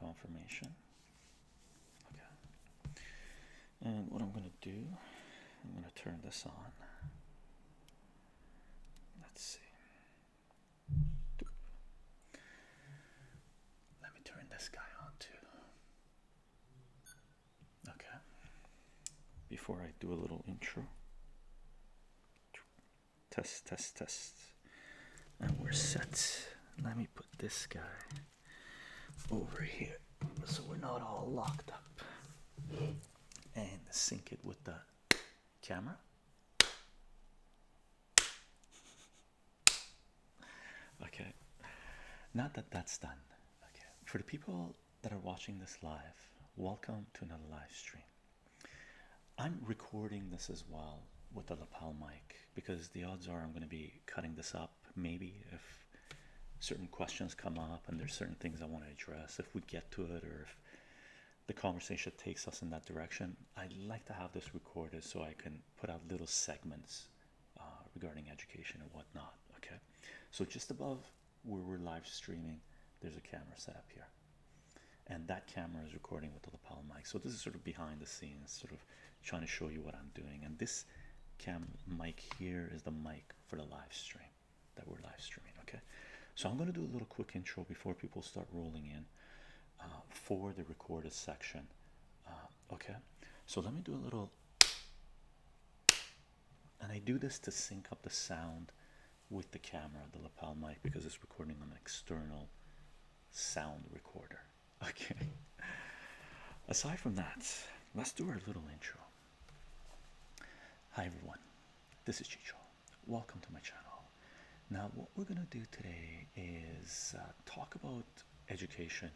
confirmation. Okay. And what I'm going to do, I'm going to turn this on. Let's see. Let me turn this guy on too. Okay. Before I do a little intro. Test, test, test and we're set. Let me put this guy over here so we're not all locked up and sync it with the camera. Okay, Now that that's done. Okay, for the people that are watching this live, welcome to another live stream. I'm recording this as well with the lapel mic because the odds are I'm going to be cutting this up maybe if certain questions come up and there's certain things I want to address if we get to it or if the conversation takes us in that direction. I'd like to have this recorded so I can put out little segments uh, regarding education and whatnot. Okay, so just above where we're live streaming, there's a camera set up here, and that camera is recording with the lapel mic. So this is sort of behind the scenes, sort of trying to show you what I'm doing. And this cam mic here is the mic for the live stream that we're live streaming. Okay, so I'm going to do a little quick intro before people start rolling in uh, for the recorded section. Uh, okay, so let me do a little, and I do this to sync up the sound with the camera, the lapel mic, because it's recording on an external sound recorder. Okay. Aside from that, let's do our little intro. Hi everyone, this is Chicho. Welcome to my channel. Now, what we're gonna do today is uh, talk about education,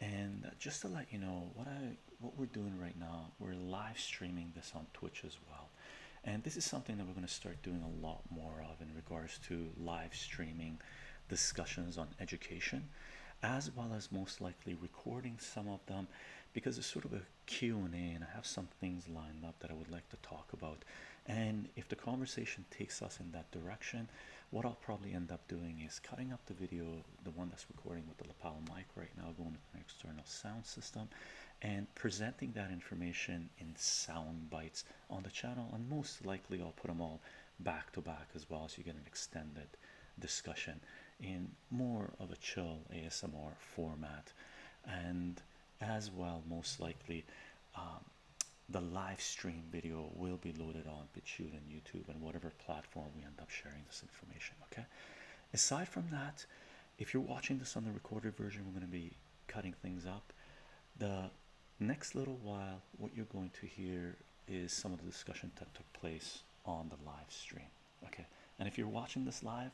and just to let you know, what I what we're doing right now, we're live streaming this on Twitch as well, and this is something that we're gonna start doing a lot more of in regards to live streaming discussions on education, as well as most likely recording some of them because it's sort of a Q&A and I have some things lined up that I would like to talk about. And if the conversation takes us in that direction, what I'll probably end up doing is cutting up the video, the one that's recording with the lapel mic right now, going to an external sound system, and presenting that information in sound bites on the channel. And most likely, I'll put them all back to back as well, so you get an extended discussion in more of a chill ASMR format, and as well, most likely, um, the live stream video will be loaded on BitChute and YouTube and whatever platform we end up sharing this information. Okay, aside from that, if you're watching this on the recorded version, we're going to be cutting things up. The next little while, what you're going to hear is some of the discussion that took place on the live stream. Okay, and if you're watching this live,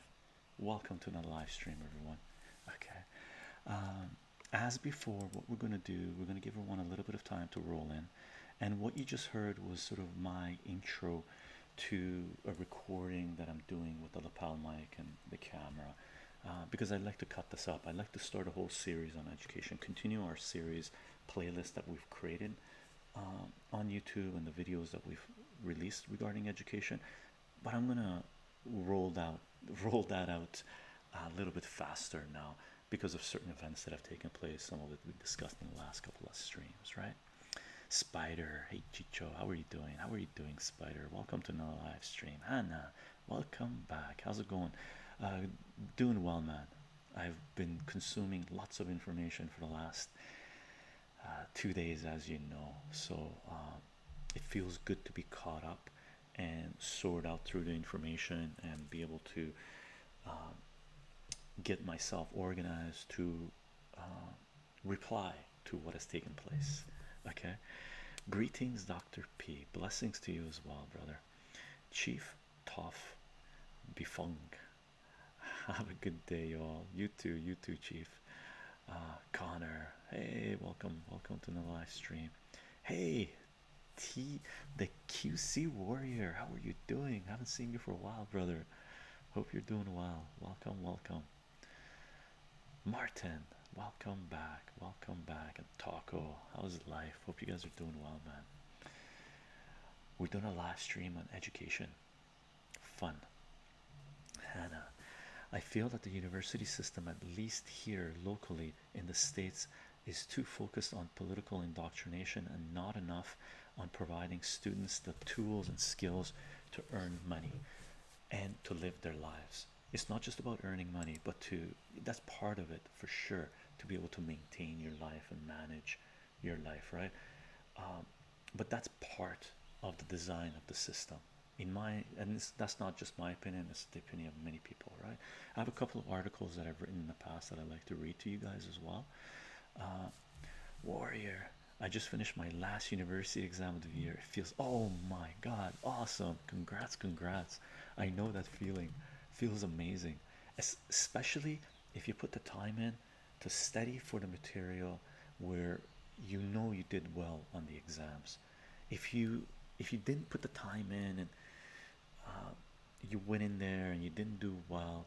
welcome to another live stream, everyone. Okay, um, as before, what we're going to do, we're going to give everyone a little bit of time to roll in, and what you just heard was sort of my intro to a recording that I'm doing with the lapel mic and the camera uh, because i like to cut this up. i like to start a whole series on education, continue our series playlist that we've created uh, on YouTube and the videos that we've released regarding education. But I'm gonna roll out roll that out a little bit faster now because of certain events that have taken place. Some of it we discussed in the last couple of streams, right? Spider, hey Chicho, how are you doing? How are you doing, Spider? Welcome to another live stream. Hannah, welcome back how's it going uh, doing well man i've been consuming lots of information for the last uh, two days as you know so um, it feels good to be caught up and sort out through the information and be able to um, get myself organized to um, reply to what has taken place okay greetings dr p blessings to you as well brother Chief Toff Bifong. Have a good day, y'all. You too, you too, Chief. Uh, Connor, hey, welcome, welcome to the live stream. Hey, T, the QC Warrior, how are you doing? Haven't seen you for a while, brother. Hope you're doing well. Welcome, welcome. Martin, welcome back. Welcome back. Taco. Oh, how's life? Hope you guys are doing well, man. We're doing a live stream on education. Fun. Hannah, uh, I feel that the university system, at least here locally in the States, is too focused on political indoctrination and not enough on providing students the tools and skills to earn money and to live their lives. It's not just about earning money, but to that's part of it for sure to be able to maintain your life and manage your life, right? Um, but that's part of the design of the system, in my and that's not just my opinion, it's the opinion of many people, right? I have a couple of articles that I've written in the past that I like to read to you guys as well. Uh, warrior, I just finished my last university exam of the year. It feels oh my god, awesome! Congrats, congrats! I know that feeling feels amazing especially if you put the time in to study for the material where you know you did well on the exams if you if you didn't put the time in and uh, you went in there and you didn't do well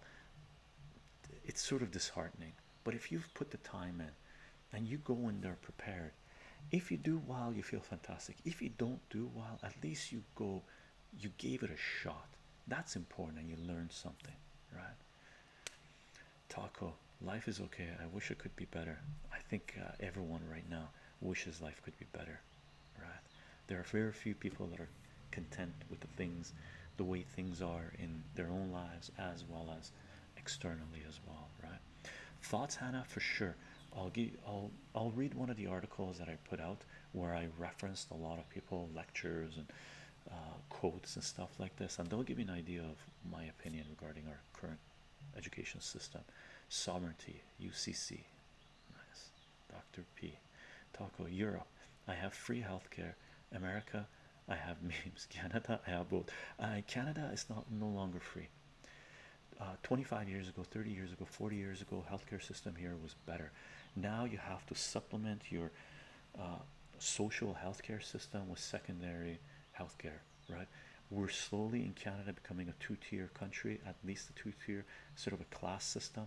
it's sort of disheartening but if you've put the time in and you go in there prepared if you do well you feel fantastic if you don't do well at least you go you gave it a shot. That's important, and you learned something, right? Taco, life is okay. I wish it could be better. I think uh, everyone right now wishes life could be better, right? There are very few people that are content with the things, the way things are in their own lives as well as externally as well, right? Thoughts, Hannah, for sure. I'll give. I'll. I'll read one of the articles that I put out where I referenced a lot of people lectures and uh, quotes and stuff like this and they'll give you an idea of my opinion regarding our current education system sovereignty UCC nice Dr. P Taco Europe I have free healthcare America I have memes Canada I have both uh, Canada is not no longer free uh, 25 years ago 30 years ago 40 years ago healthcare system here was better now you have to supplement your uh, social healthcare system with secondary healthcare right we're slowly in Canada becoming a two-tier country at least a two-tier sort of a class system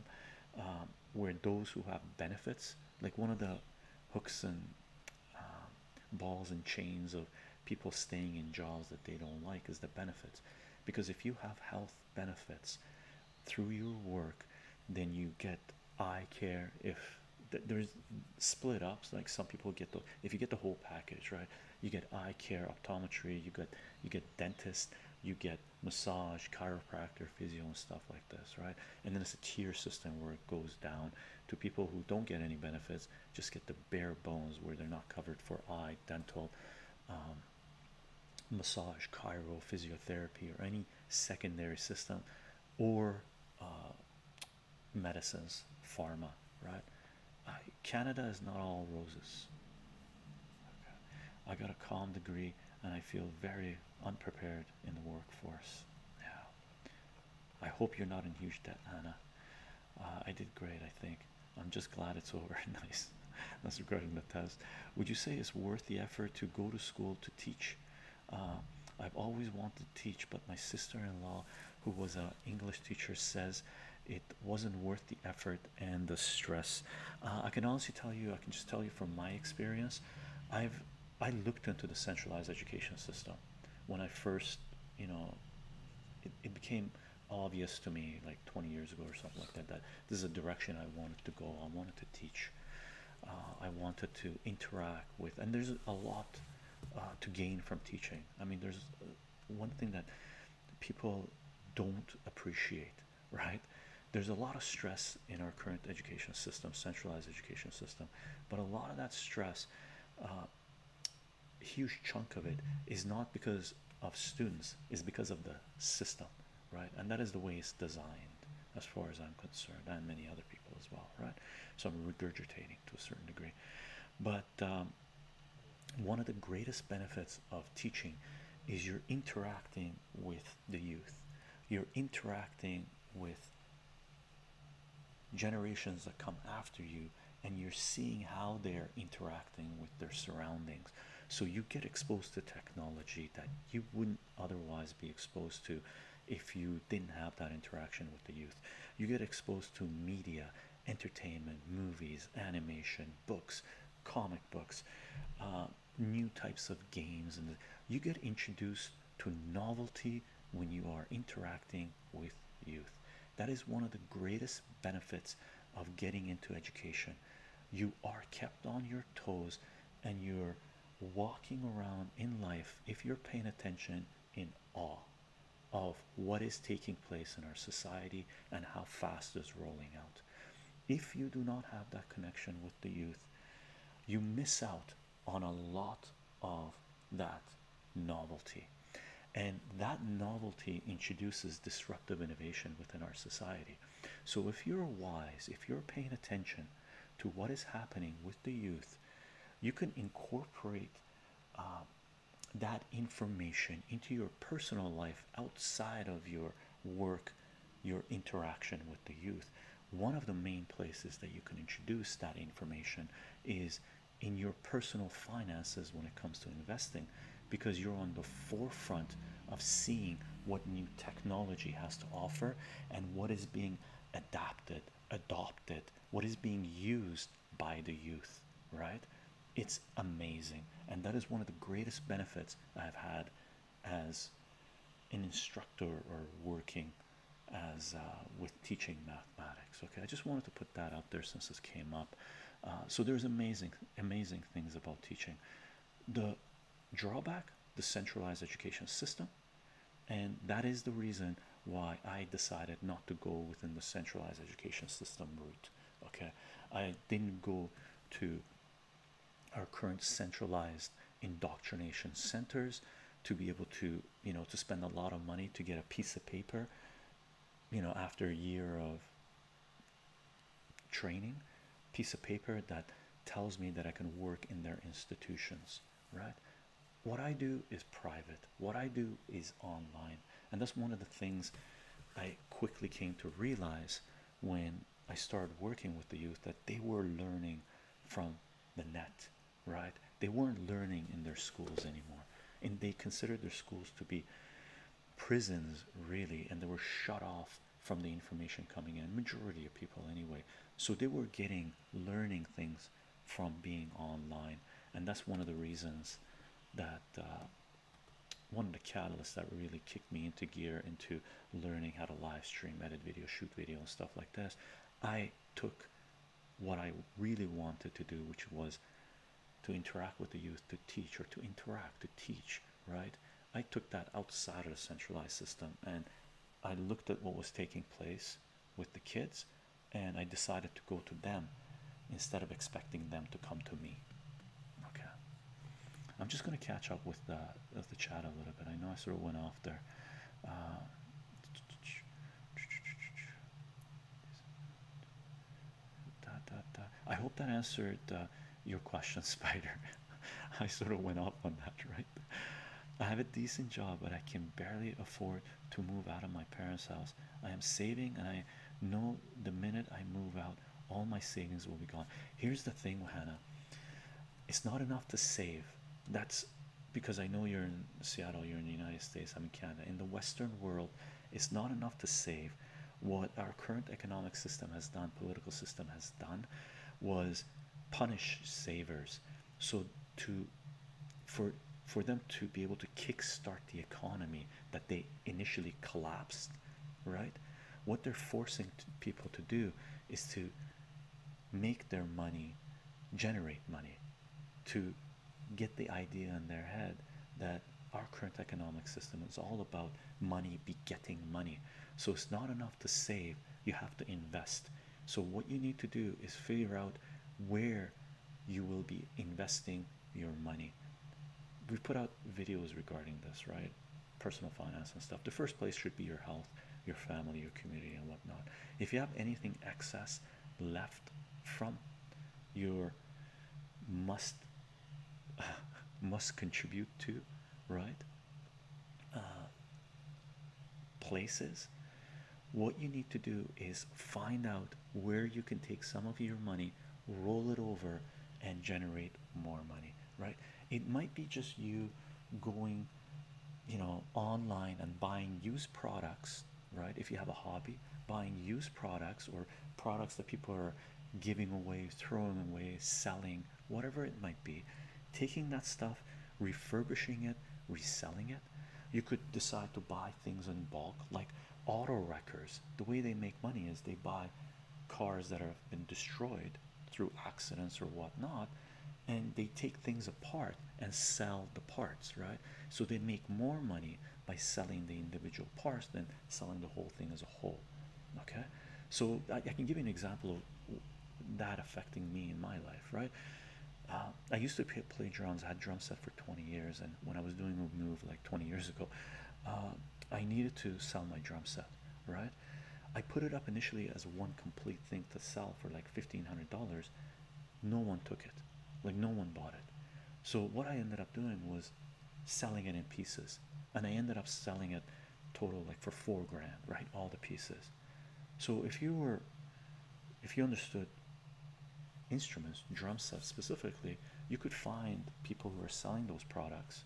um, where those who have benefits like one of the hooks and um, balls and chains of people staying in jobs that they don't like is the benefits because if you have health benefits through your work then you get eye care if there's split ups like some people get the if you get the whole package right you get eye care optometry you get you get dentist you get massage chiropractor physio and stuff like this right and then it's a tier system where it goes down to people who don't get any benefits just get the bare bones where they're not covered for eye dental um, massage, chiro, physiotherapy, or any secondary system or uh, medicines, pharma, right? Canada is not all roses. I got a calm degree and I feel very unprepared in the workforce. Yeah. I hope you're not in huge debt, Anna. Uh, I did great, I think. I'm just glad it's over. nice. That's regarding the test. Would you say it's worth the effort to go to school to teach? Uh, I've always wanted to teach, but my sister-in-law, who was an English teacher, says it wasn't worth the effort and the stress. Uh, I can honestly tell you, I can just tell you from my experience, I've I looked into the centralized education system when I first, you know, it, it became obvious to me like 20 years ago or something like that that this is a direction i wanted to go i wanted to teach uh, i wanted to interact with and there's a lot uh, to gain from teaching i mean there's uh, one thing that people don't appreciate right there's a lot of stress in our current education system centralized education system but a lot of that stress huge chunk of it is not because of students It's because of the system right? And that is the way it's designed, as far as I'm concerned, and many other people as well, right? So I'm regurgitating to a certain degree, but um, one of the greatest benefits of teaching is you're interacting with the youth, you're interacting with generations that come after you and you're seeing how they're interacting with their surroundings. So you get exposed to technology that you wouldn't otherwise be exposed to if you didn't have that interaction with the youth. You get exposed to media, entertainment, movies, animation, books, comic books, uh, new types of games, and you get introduced to novelty when you are interacting with youth. That is one of the greatest benefits of getting into education. You are kept on your toes and you're walking around in life if you're paying attention in awe of what is taking place in our society and how fast it's rolling out. If you do not have that connection with the youth, you miss out on a lot of that novelty. And that novelty introduces disruptive innovation within our society. So, if you're wise, if you're paying attention to what is happening with the youth, you can incorporate um, that information into your personal life outside of your work, your interaction with the youth. One of the main places that you can introduce that information is in your personal finances when it comes to investing because you're on the forefront of seeing what new technology has to offer and what is being adapted, adopted, what is being used by the youth, right? It's amazing. And that is one of the greatest benefits I've had as an instructor or working as uh, with teaching mathematics. Okay, I just wanted to put that out there since this came up. Uh, so there's amazing, amazing things about teaching. The drawback the centralized education system and that is the reason why i decided not to go within the centralized education system route okay i didn't go to our current centralized indoctrination centers to be able to you know to spend a lot of money to get a piece of paper you know after a year of training piece of paper that tells me that I can work in their institutions, right? What I do is private, what I do is online, and that's one of the things I quickly came to realize when I started working with the youth that they were learning from the net, right? They weren't learning in their schools anymore, and they considered their schools to be prisons, really, and they were shut off from the information coming in majority of people anyway so they were getting learning things from being online and that's one of the reasons that uh, one of the catalysts that really kicked me into gear into learning how to live stream edit video shoot video and stuff like this i took what i really wanted to do which was to interact with the youth to teach or to interact to teach right I took that outside of the centralized system and I looked at what was taking place with the kids and I decided to go to them instead of expecting them to come to me. Okay. I'm just going to catch up with the, the chat a little bit. I know I sort of went off there. Uh, I hope that answered uh, your question, Spider. I sort of went off on that, right? I have a decent job, but I can barely afford to move out of my parents' house. I am saving, and I know the minute I move out, all my savings will be gone. Here's the thing, Hannah it's not enough to save. That's because I know you're in Seattle, you're in the United States, I'm in Canada. In the Western world, it's not enough to save what our current economic system has done, political system has done, was punish savers. So to for for them to be able to kickstart the economy that they initially collapsed, right? What they're forcing people to do is to make their money, generate money, to get the idea in their head that our current economic system is all about money begetting money so it's not enough to save you have to invest so what you need to do is figure out where you will be investing your money we put out videos regarding this right personal finance and stuff the first place should be your health your family your community and whatnot if you have anything excess left from your must must contribute to right uh, places what you need to do is find out where you can take some of your money roll it over and generate more money right it might be just you going you know online and buying used products right if you have a hobby buying used products or products that people are giving away throwing away selling whatever it might be, taking that stuff, refurbishing it, reselling it. You could decide to buy things in bulk, like auto wreckers. The way they make money is they buy cars that have been destroyed through accidents or whatnot, and they take things apart and sell the parts, right? So they make more money by selling the individual parts than selling the whole thing as a whole whole. Okay, so I, can give you an example of that affecting me in my life, right? Uh, I used to play, drums. I had drum set for 20 years, and when I was doing a move like 20 years ago, uh, I needed to sell my drum set, right? I put it up initially as one complete thing to sell for like $1,500. No one took it, like no one bought it. So what I ended up doing was selling it in pieces, and I ended up selling it total like for four grand right all the pieces so if you were if you understood instruments drum sets specifically you could find people who are selling those products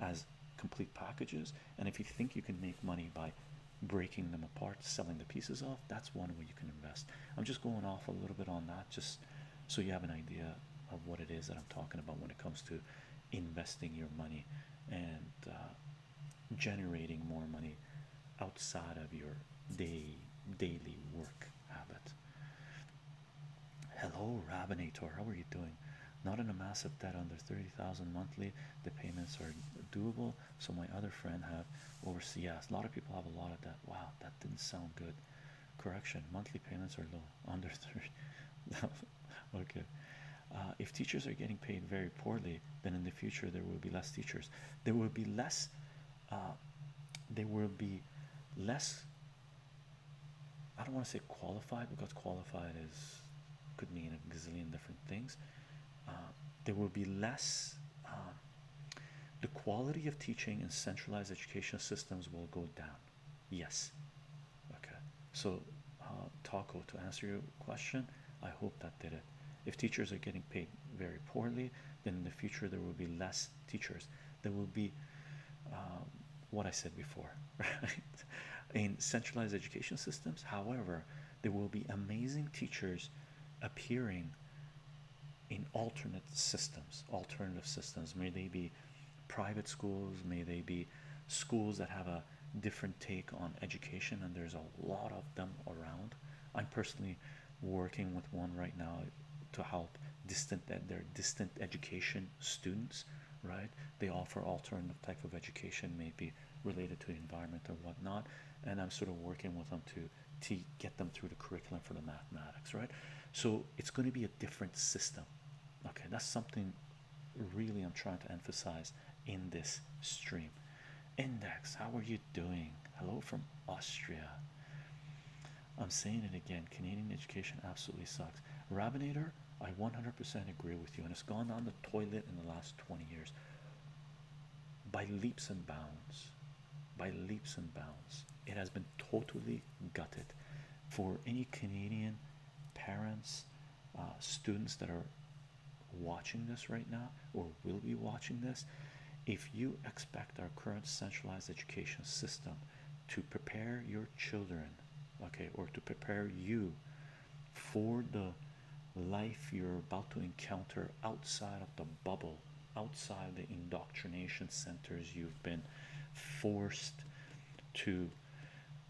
as complete packages and if you think you can make money by breaking them apart selling the pieces off that's one way you can invest i'm just going off a little bit on that just so you have an idea of what it is that i'm talking about when it comes to investing your money and uh, generating more money outside of your day daily work habit. Hello, Rabinator. How are you doing? Not in a massive debt under 30,000 monthly. The payments are doable. So my other friend have overseas. A lot of people have a lot of that. Wow, that didn't sound good. Correction. Monthly payments are low. under 30 okay uh, if teachers are getting paid very poorly then in the future there will be less teachers there will be less uh, there will be less i don't want to say qualified because qualified is could mean a gazillion different things uh, there will be less the quality of teaching in centralized education systems will go down Yes. Okay. So, uh, Taco, to answer your question, I hope that did it. If teachers are getting paid very poorly, then in the future there will be less teachers. There will be um, what I said before, right? In centralized education systems, however, there will be amazing teachers appearing in alternate systems, alternative systems. May they be private schools, may they be schools that have a different take on education, and there's a lot of them around. I'm personally working with one right now to help distant that their distant education students, right? They offer alternative type of education, maybe related to the environment or whatnot, and I'm sort of working with them to to get them through the curriculum for the mathematics, right? So it's going to be a different system. Okay, that's something really I'm trying to emphasize in this stream. Index, how are you doing? Hello from Austria. I'm saying it again. Canadian education absolutely sucks. Rabinator, I 100% agree with you, and it's gone on the toilet in the last 20 years by leaps and bounds. By leaps and bounds, it has been totally gutted. For any Canadian parents uh, students that are watching this right now or will be watching this if you expect our current centralized education system to prepare your children okay or to prepare you for the life you're about to encounter outside of the bubble outside the indoctrination centers you've been forced to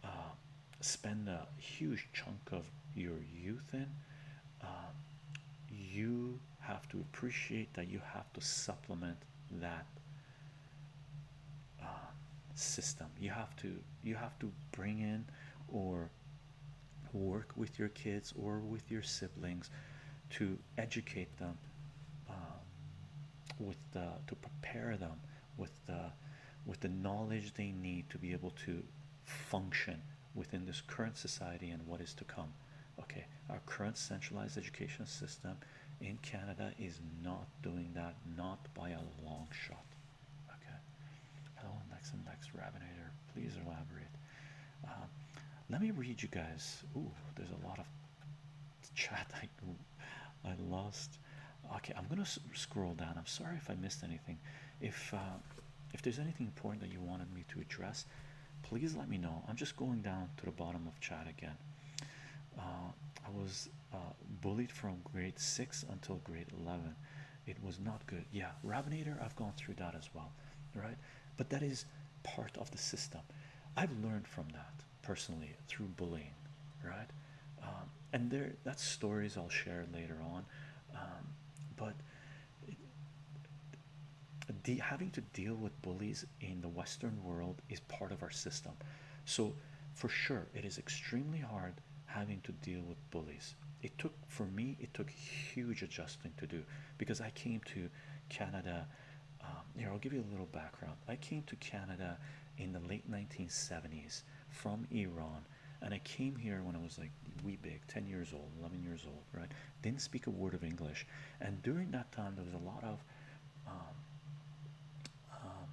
uh, spend a huge chunk of your youth in, um, you have to appreciate that you have to supplement that um, system. You have to you have to bring in or work with your kids or with your siblings to educate them um, with the, to prepare them with the with the knowledge they need to be able to function within this current society and what is to come okay our current centralized education system in canada is not doing that not by a long shot okay hello next next rabinator please elaborate uh, let me read you guys Ooh, there's a lot of chat i I lost. Okay, I'm gonna scroll down. I'm sorry if I missed anything. If uh, if there's anything important that you wanted me to address, please let me know. I'm just going down to the bottom of chat again. Uh, I was uh, bullied from grade six until grade eleven. It was not good. Yeah, Rabinator, I've gone through that as well, right? But that is part of the system. I've learned from that personally through bullying, right? Um, and there that's stories I'll share later on um, but having to deal with bullies in the Western world is part of our system so for sure it is extremely hard having to deal with bullies it took for me it took huge adjusting to do because I came to Canada um, here I'll give you a little background I came to Canada in the late 1970s from Iran. And I came here when I was like wee big, 10 years old, 11 years old, right? Didn't speak a word of English. And during that time, there was a lot of, um, um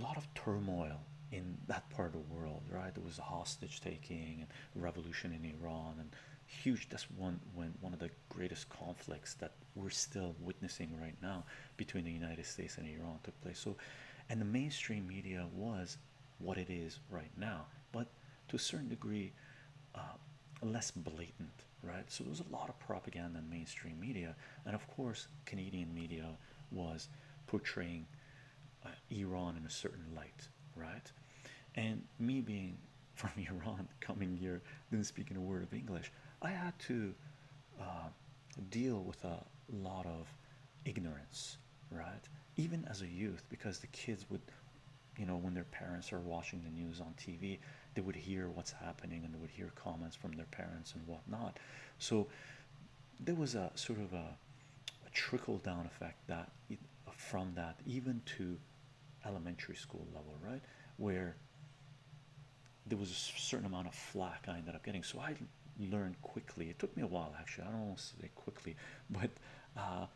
lot of turmoil in that part of the world, right? There was hostage taking and revolution in Iran and huge. That's one when one of the greatest conflicts that we're still witnessing right now between the United States and Iran took place. So, and the mainstream media was what it is right now, but to a certain degree, uh, less blatant, right? So there was a lot of propaganda in mainstream media, and of course, Canadian media was portraying uh, Iran in a certain light, right? And me being from Iran, coming here, didn't speak in a word of English, I had to. Uh, deal with a lot of ignorance, right? Even as a youth, because the kids would, you know, when their parents are watching the news on TV, they would hear what's happening and they would hear comments from their parents and whatnot. So there was a sort of a, trickle down effect that from that even to elementary school level, right? Where there was a certain amount of flack I ended up getting. So I learn quickly. It took me a while, actually. I don't want to say quickly, but uh,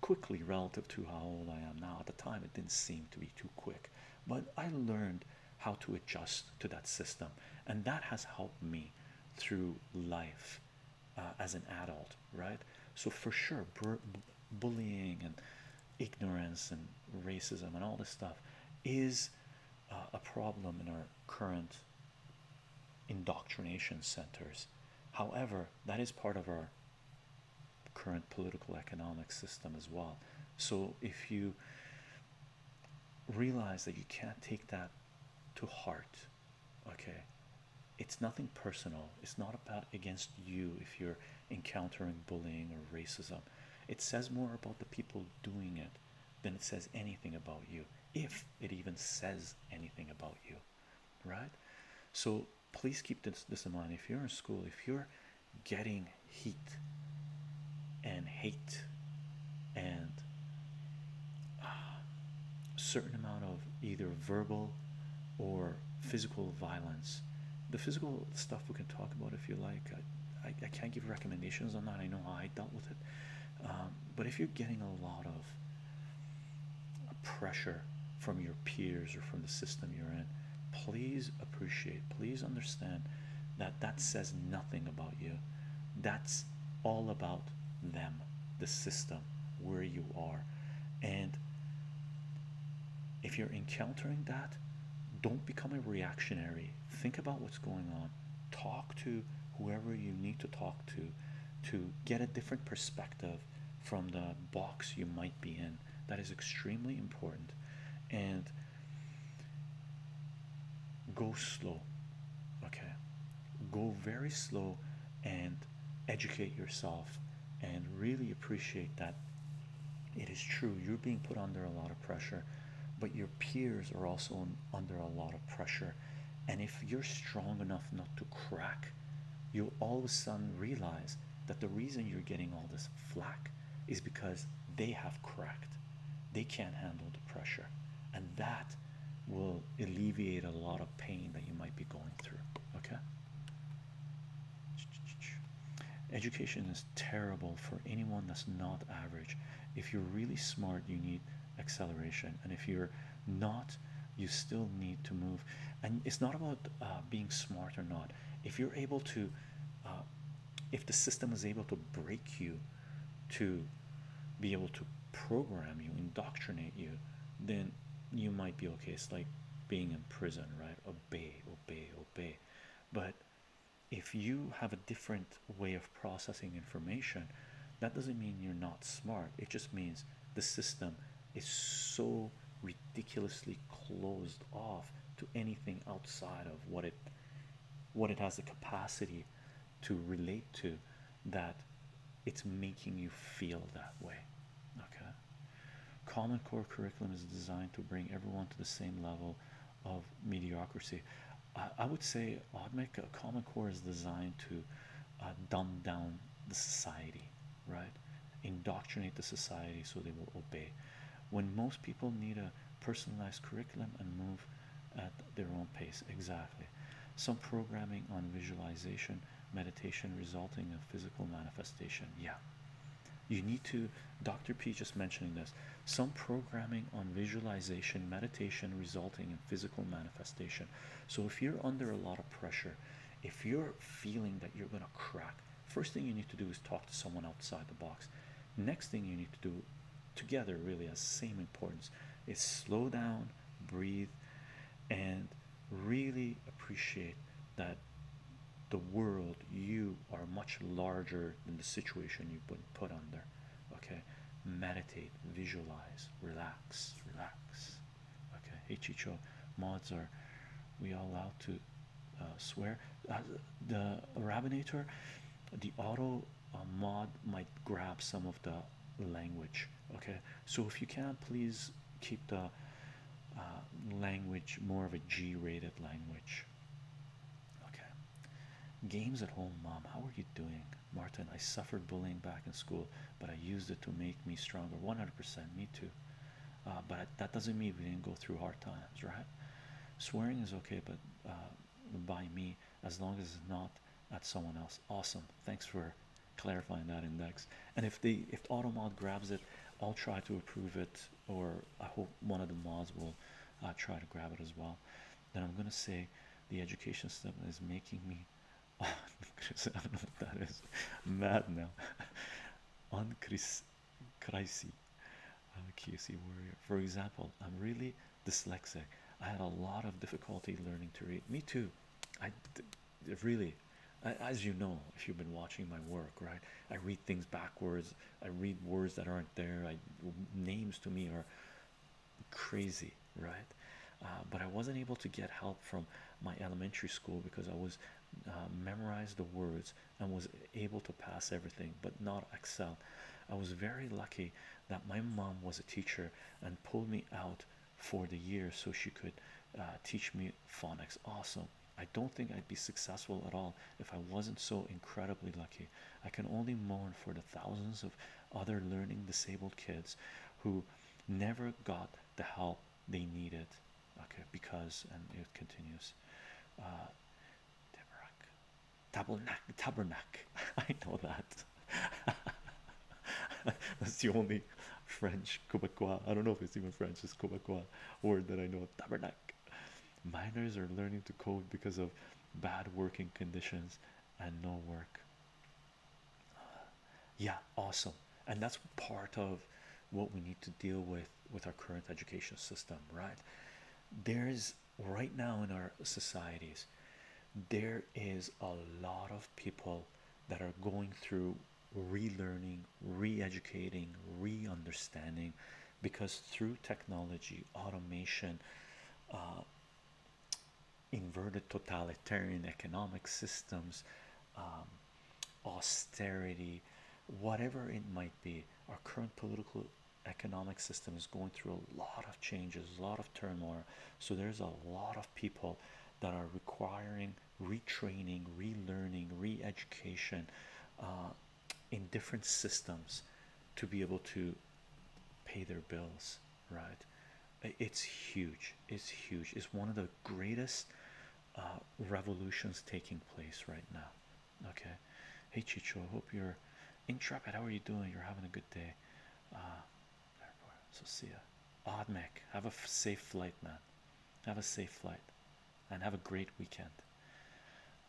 quickly relative to how old I am now. At the time, it didn't seem to be too quick, but I learned how to adjust to that system, and that has helped me through life uh, as an adult, right? So, for sure, bullying and ignorance and racism and all this stuff is uh, a problem in our current indoctrination centers. However, that is part of our current political economic system as well. So if you realize that you can't take that to heart, okay, it's nothing personal. It's not about against you if you're encountering bullying or racism. It says more about the people doing it then it says anything about you, if it even says anything about you, right? So please keep this, this in mind. If you're in school, if you're getting heat and hate and a uh, certain amount of either verbal or physical violence, the physical stuff we can talk about if you like. I, I, can't give recommendations on that. I know how I dealt with it. Um, but if you're getting a lot of pressure from your peers or from the system you're in, please appreciate, please understand that that says nothing about you. That's all about them, the system, where you are. And if you're encountering that, don't become a reactionary. Think about what's going on talk to whoever you need to talk to to get a different perspective from the box you might be in that is extremely important and go slow okay go very slow and educate yourself and really appreciate that it is true you're being put under a lot of pressure but your peers are also under a lot of pressure and if you're strong enough not to crack, you'll all of a sudden realize that the reason you're getting all this flack is because they have cracked. They can't handle the pressure. And that will alleviate a lot of pain that you might be going through. Okay? Education is terrible for anyone that's not average. If you're really smart, you need acceleration and if you're not you still need to move and it's not about uh, being smart or not if you're able to uh, if the system is able to break you to be able to program you indoctrinate you then you might be okay it's like being in prison right obey obey obey but if you have a different way of processing information, that doesn't mean you're not smart. It just means the system is so ridiculously closed off to anything outside of what it what it has the capacity to relate to that it's making you feel that way. Okay. Common Core curriculum is designed to bring everyone to the same level of mediocrity. I, I would say a common core is designed to uh, dumb down the society right indoctrinate the society so they will obey when most people need a personalized curriculum and move at their own pace exactly some programming on visualization meditation resulting in physical manifestation yeah you need to dr p just mentioning this some pro programming on visualization, meditation resulting in physical manifestation. So, if you're under a lot of pressure, if you're feeling that you're going to crack, first thing you need to do is talk to someone outside the box. Next thing you need to do, together, really, has same importance, is slow down, breathe, and really appreciate that the world you are much larger than the situation you put put under okay meditate visualize relax relax okay hey chicho mods are we allowed to uh, swear uh, the rabinator the auto uh, mod might grab some of the language okay so if you can please keep the language more of a g-rated language okay games at home mom how are you doing Martin, I suffered bullying back in school, but I used it to make me stronger. 100%, me too. Uh, but that doesn't mean we didn't go through hard times, right? Swearing is okay, but uh, by me, as long as it's not at someone else. Awesome. Thanks for clarifying that index. And if the if AutoMod grabs it, I'll try to approve it, or I hope one of the mods will uh, try to grab it as well then I'm gonna say the education system is making me Chris, I don't know what that is. Mad now. On Chris Crisey. I'm uh, a QC warrior. For example, I'm really dyslexic. I had a lot of difficulty learning to read. Me too. I really, as you know, if you've been watching my work, right? I read things backwards. I read words that aren't there. I names to me are crazy, right? Uh, but I wasn't able to get help from my elementary school because I was uh, memorized the words and was able to pass everything, but not excel. I was very lucky that my mom was a teacher and pulled me out for the year so she could uh, teach me phonics. Awesome. I don't think I'd be successful at all if I wasn't so incredibly lucky. I can only mourn for the thousands of other learning disabled kids who never got the help they needed. Okay, because and it continues. Uh, Tabernac, tabernac. I know that. That's the only French Quebecois. I don't know if it's even French. It's Quebecois word that I know. Tabernac. Miners are learning to code because of bad working conditions and no work yeah awesome and that's part of what we need to deal with with our current education system right there's right now in our societies there is a lot of people that are going through relearning re-educating re-understanding because through technology automation uh, inverted totalitarian economic systems, um, austerity, whatever it might be, our current political economic system is going through a lot of changes, a lot of turmoil. So there's a lot of people that are requiring retraining, relearning, re-education uh, in different systems to be able to pay their bills right it's huge it's huge it's one of the greatest uh, revolutions taking place right now okay hey chicho hope you're intrepid how are you doing you're having a good day uh so see you, odd mech have a safe flight man have a safe flight and have a great weekend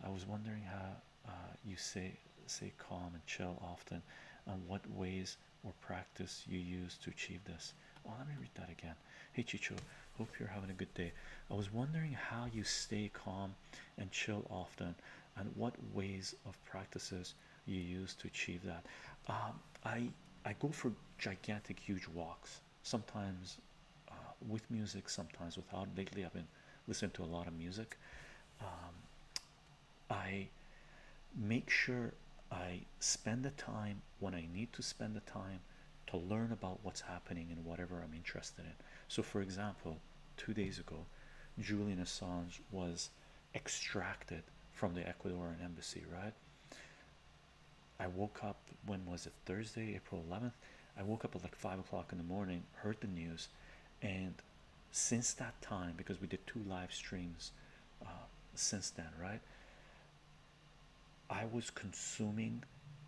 i was wondering how uh, you say say calm and chill often and what ways or practice you use to achieve this. Oh, let me read that again. Hey, Chicho, hope you're having a good day. I was wondering how you stay calm and chill often, and what ways of practices you use to achieve that. Um, I I go for gigantic, huge walks sometimes uh, with music, sometimes without. Lately, I've been listening to a lot of music. Um, I make sure I spend the time when I need to spend the time to learn about what's happening and whatever I'm interested in. So, for example, two days ago, Julian Assange was extracted from the Ecuadorian embassy, right? I woke up when was it Thursday, April 11th? I woke up at like five o'clock in the morning, heard the news, and since that time because we did two live streams uh, since then, right? I was consuming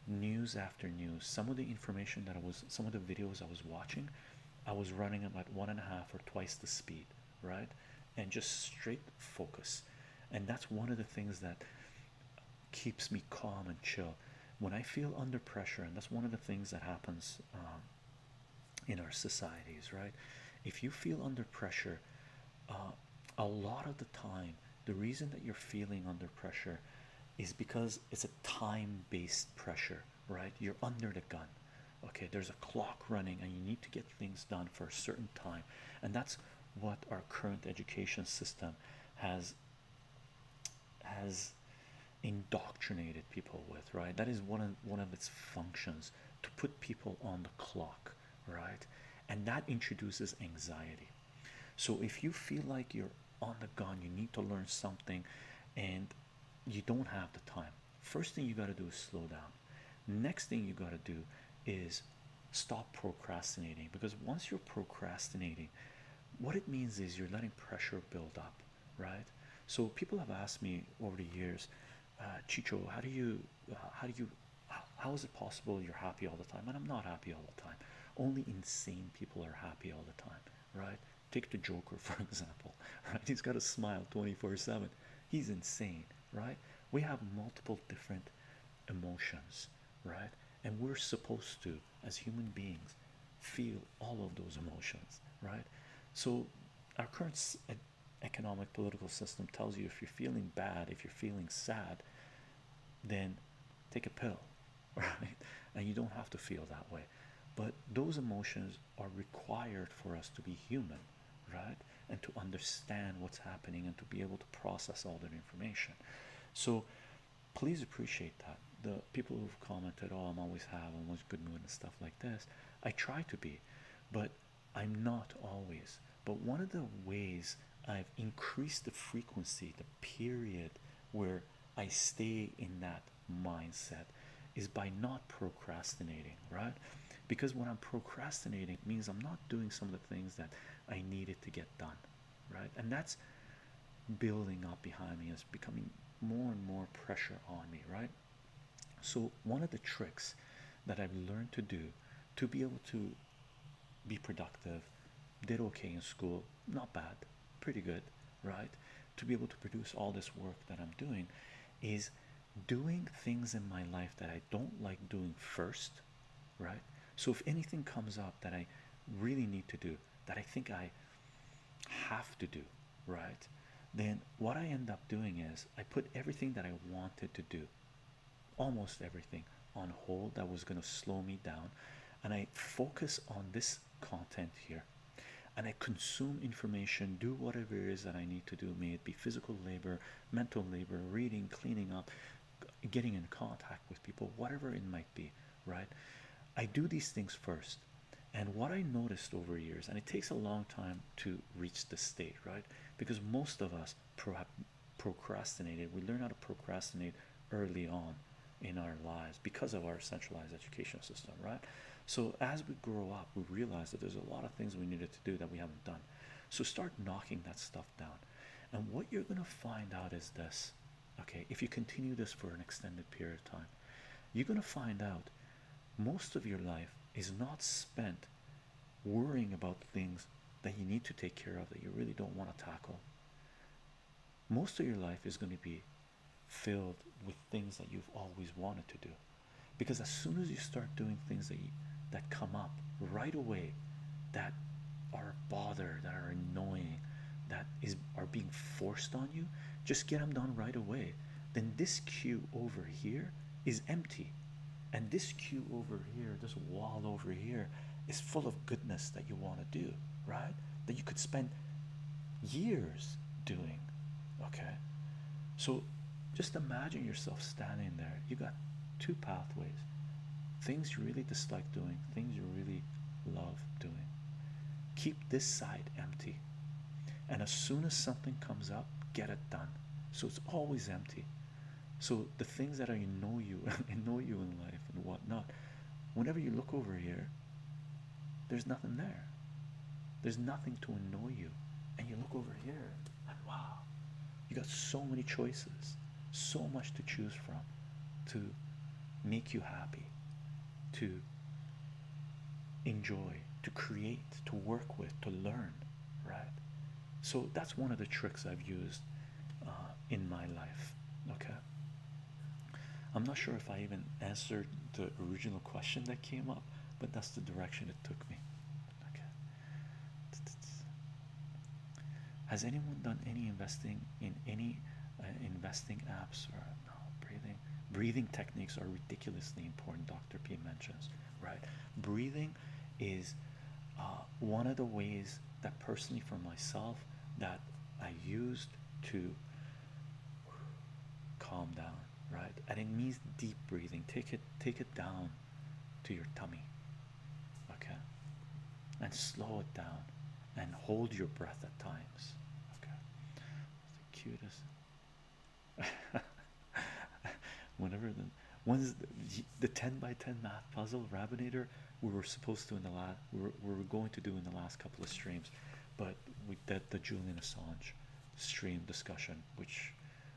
news after news. Some of the information that I was, some of the videos I was watching, I was running them at one and a half or twice the speed, right? And just straight focus. And that's one of the things that keeps me calm and chill when I feel under pressure. And that's one of the things that happens um, in our societies, right? If you feel under pressure, uh, a lot of the time, the reason that you're feeling under pressure is because it's a time based pressure, right? You're under the gun, okay? There's a clock running, and you need to get things done for a certain time, and that's what our current education system has has indoctrinated people with right that is one of one of its functions to put people on the clock, right? And that introduces anxiety. So if you feel like you're on the gun, you need to learn something, and you don't have the time. First thing you got to do is slow down. Next thing you got to do is stop procrastinating because once you're procrastinating, what it means is you're letting pressure build up, right? So people have asked me over the years, uh, Chicho, how do you, uh, how do you, how is it possible you're happy all the time? And I'm not happy all the time. Only insane people are happy all the time, right? Take the Joker for example, right? He's got a smile 24/7. He's insane, right? We have multiple different emotions, right? And we're supposed to, as human beings, feel all of those emotions, right? So our current uh, economic political system tells you if you're feeling bad, if you're feeling sad, then take a pill, right? And you don't have to feel that way. But those emotions are required for us to be human, right? And to understand what's happening and to be able to process all that information. So please appreciate that. The people who've commented, oh, I'm always happy, I'm always good mood and stuff like this. I try to be, but I'm not always, but one of the ways I've increased the frequency, the period where I stay in that mindset is by not procrastinating, right? Because when I'm procrastinating, it means I'm not doing some of the things that I needed to get done, right? And that's building up behind me, it's becoming more and more pressure on me, right? So, one of the tricks that I've learned to do to be able to be productive, did okay in school, not bad, pretty good, right? To be able to produce all this work that I'm doing is doing things in my life that I don't like doing first, right? So, if anything comes up that I really need to do, that I think I have to do, right? Then what I end up doing is i put everything that i wanted to do almost everything on hold that was going to slow me down and i focus on this content here and i consume information do whatever it is that i need to do may it be physical labor mental labor reading cleaning up getting in contact with people whatever it might be right i do these things first and what i noticed over years and it takes a long time to reach the state, right? Because most of us pro procrastinated. We learn how to procrastinate early on in our lives because of our centralized educational system, right? So as we grow up, we realize that there's a lot of things we needed to do that we haven't done. So start knocking that stuff down. And what you're going to find out is this, okay? If you continue this for an extended period of time, you're going to find out most of your life is not spent worrying about things that you need to take care of that you really don't want to tackle. Most of your life is going to be filled with things that you've always wanted to do because as soon as you start doing things that that come up right away that are a bother that are annoying that is are being forced on you just get them done right away then this queue over here is empty and this queue over here, this wall over here, is full of goodness that you want to do, right? That you could spend years doing, okay? So just imagine yourself standing there. You got two pathways things you really dislike doing, things you really love doing. Keep this side empty. And as soon as something comes up, get it done so it's always empty. So the things that I know you know you in life and whatnot, whenever you look over here, there's nothing there. There's nothing to annoy you. And you look over here and wow, you got so many choices, so much to choose from to make you happy, to enjoy, to create, to work with, to learn, right? So that's one of the tricks I've used uh, in my life. Okay. I'm not sure if I even answered the original question that came up, but that's the direction it took me. Okay. Has anyone done any investing in any uh, investing apps or no breathing? Breathing techniques are ridiculously important. Dr. P mentions right. Breathing is uh, one of the ways that personally for myself that I used to calm down right and it means deep breathing take it take it down to your tummy okay and slow it down and hold your breath at times okay That's the cutest whenever the when's the, 10 by 10 math puzzle Rabinator we were supposed to in the last we were, we were going to do in the last couple of streams but we did the Julian Assange stream discussion which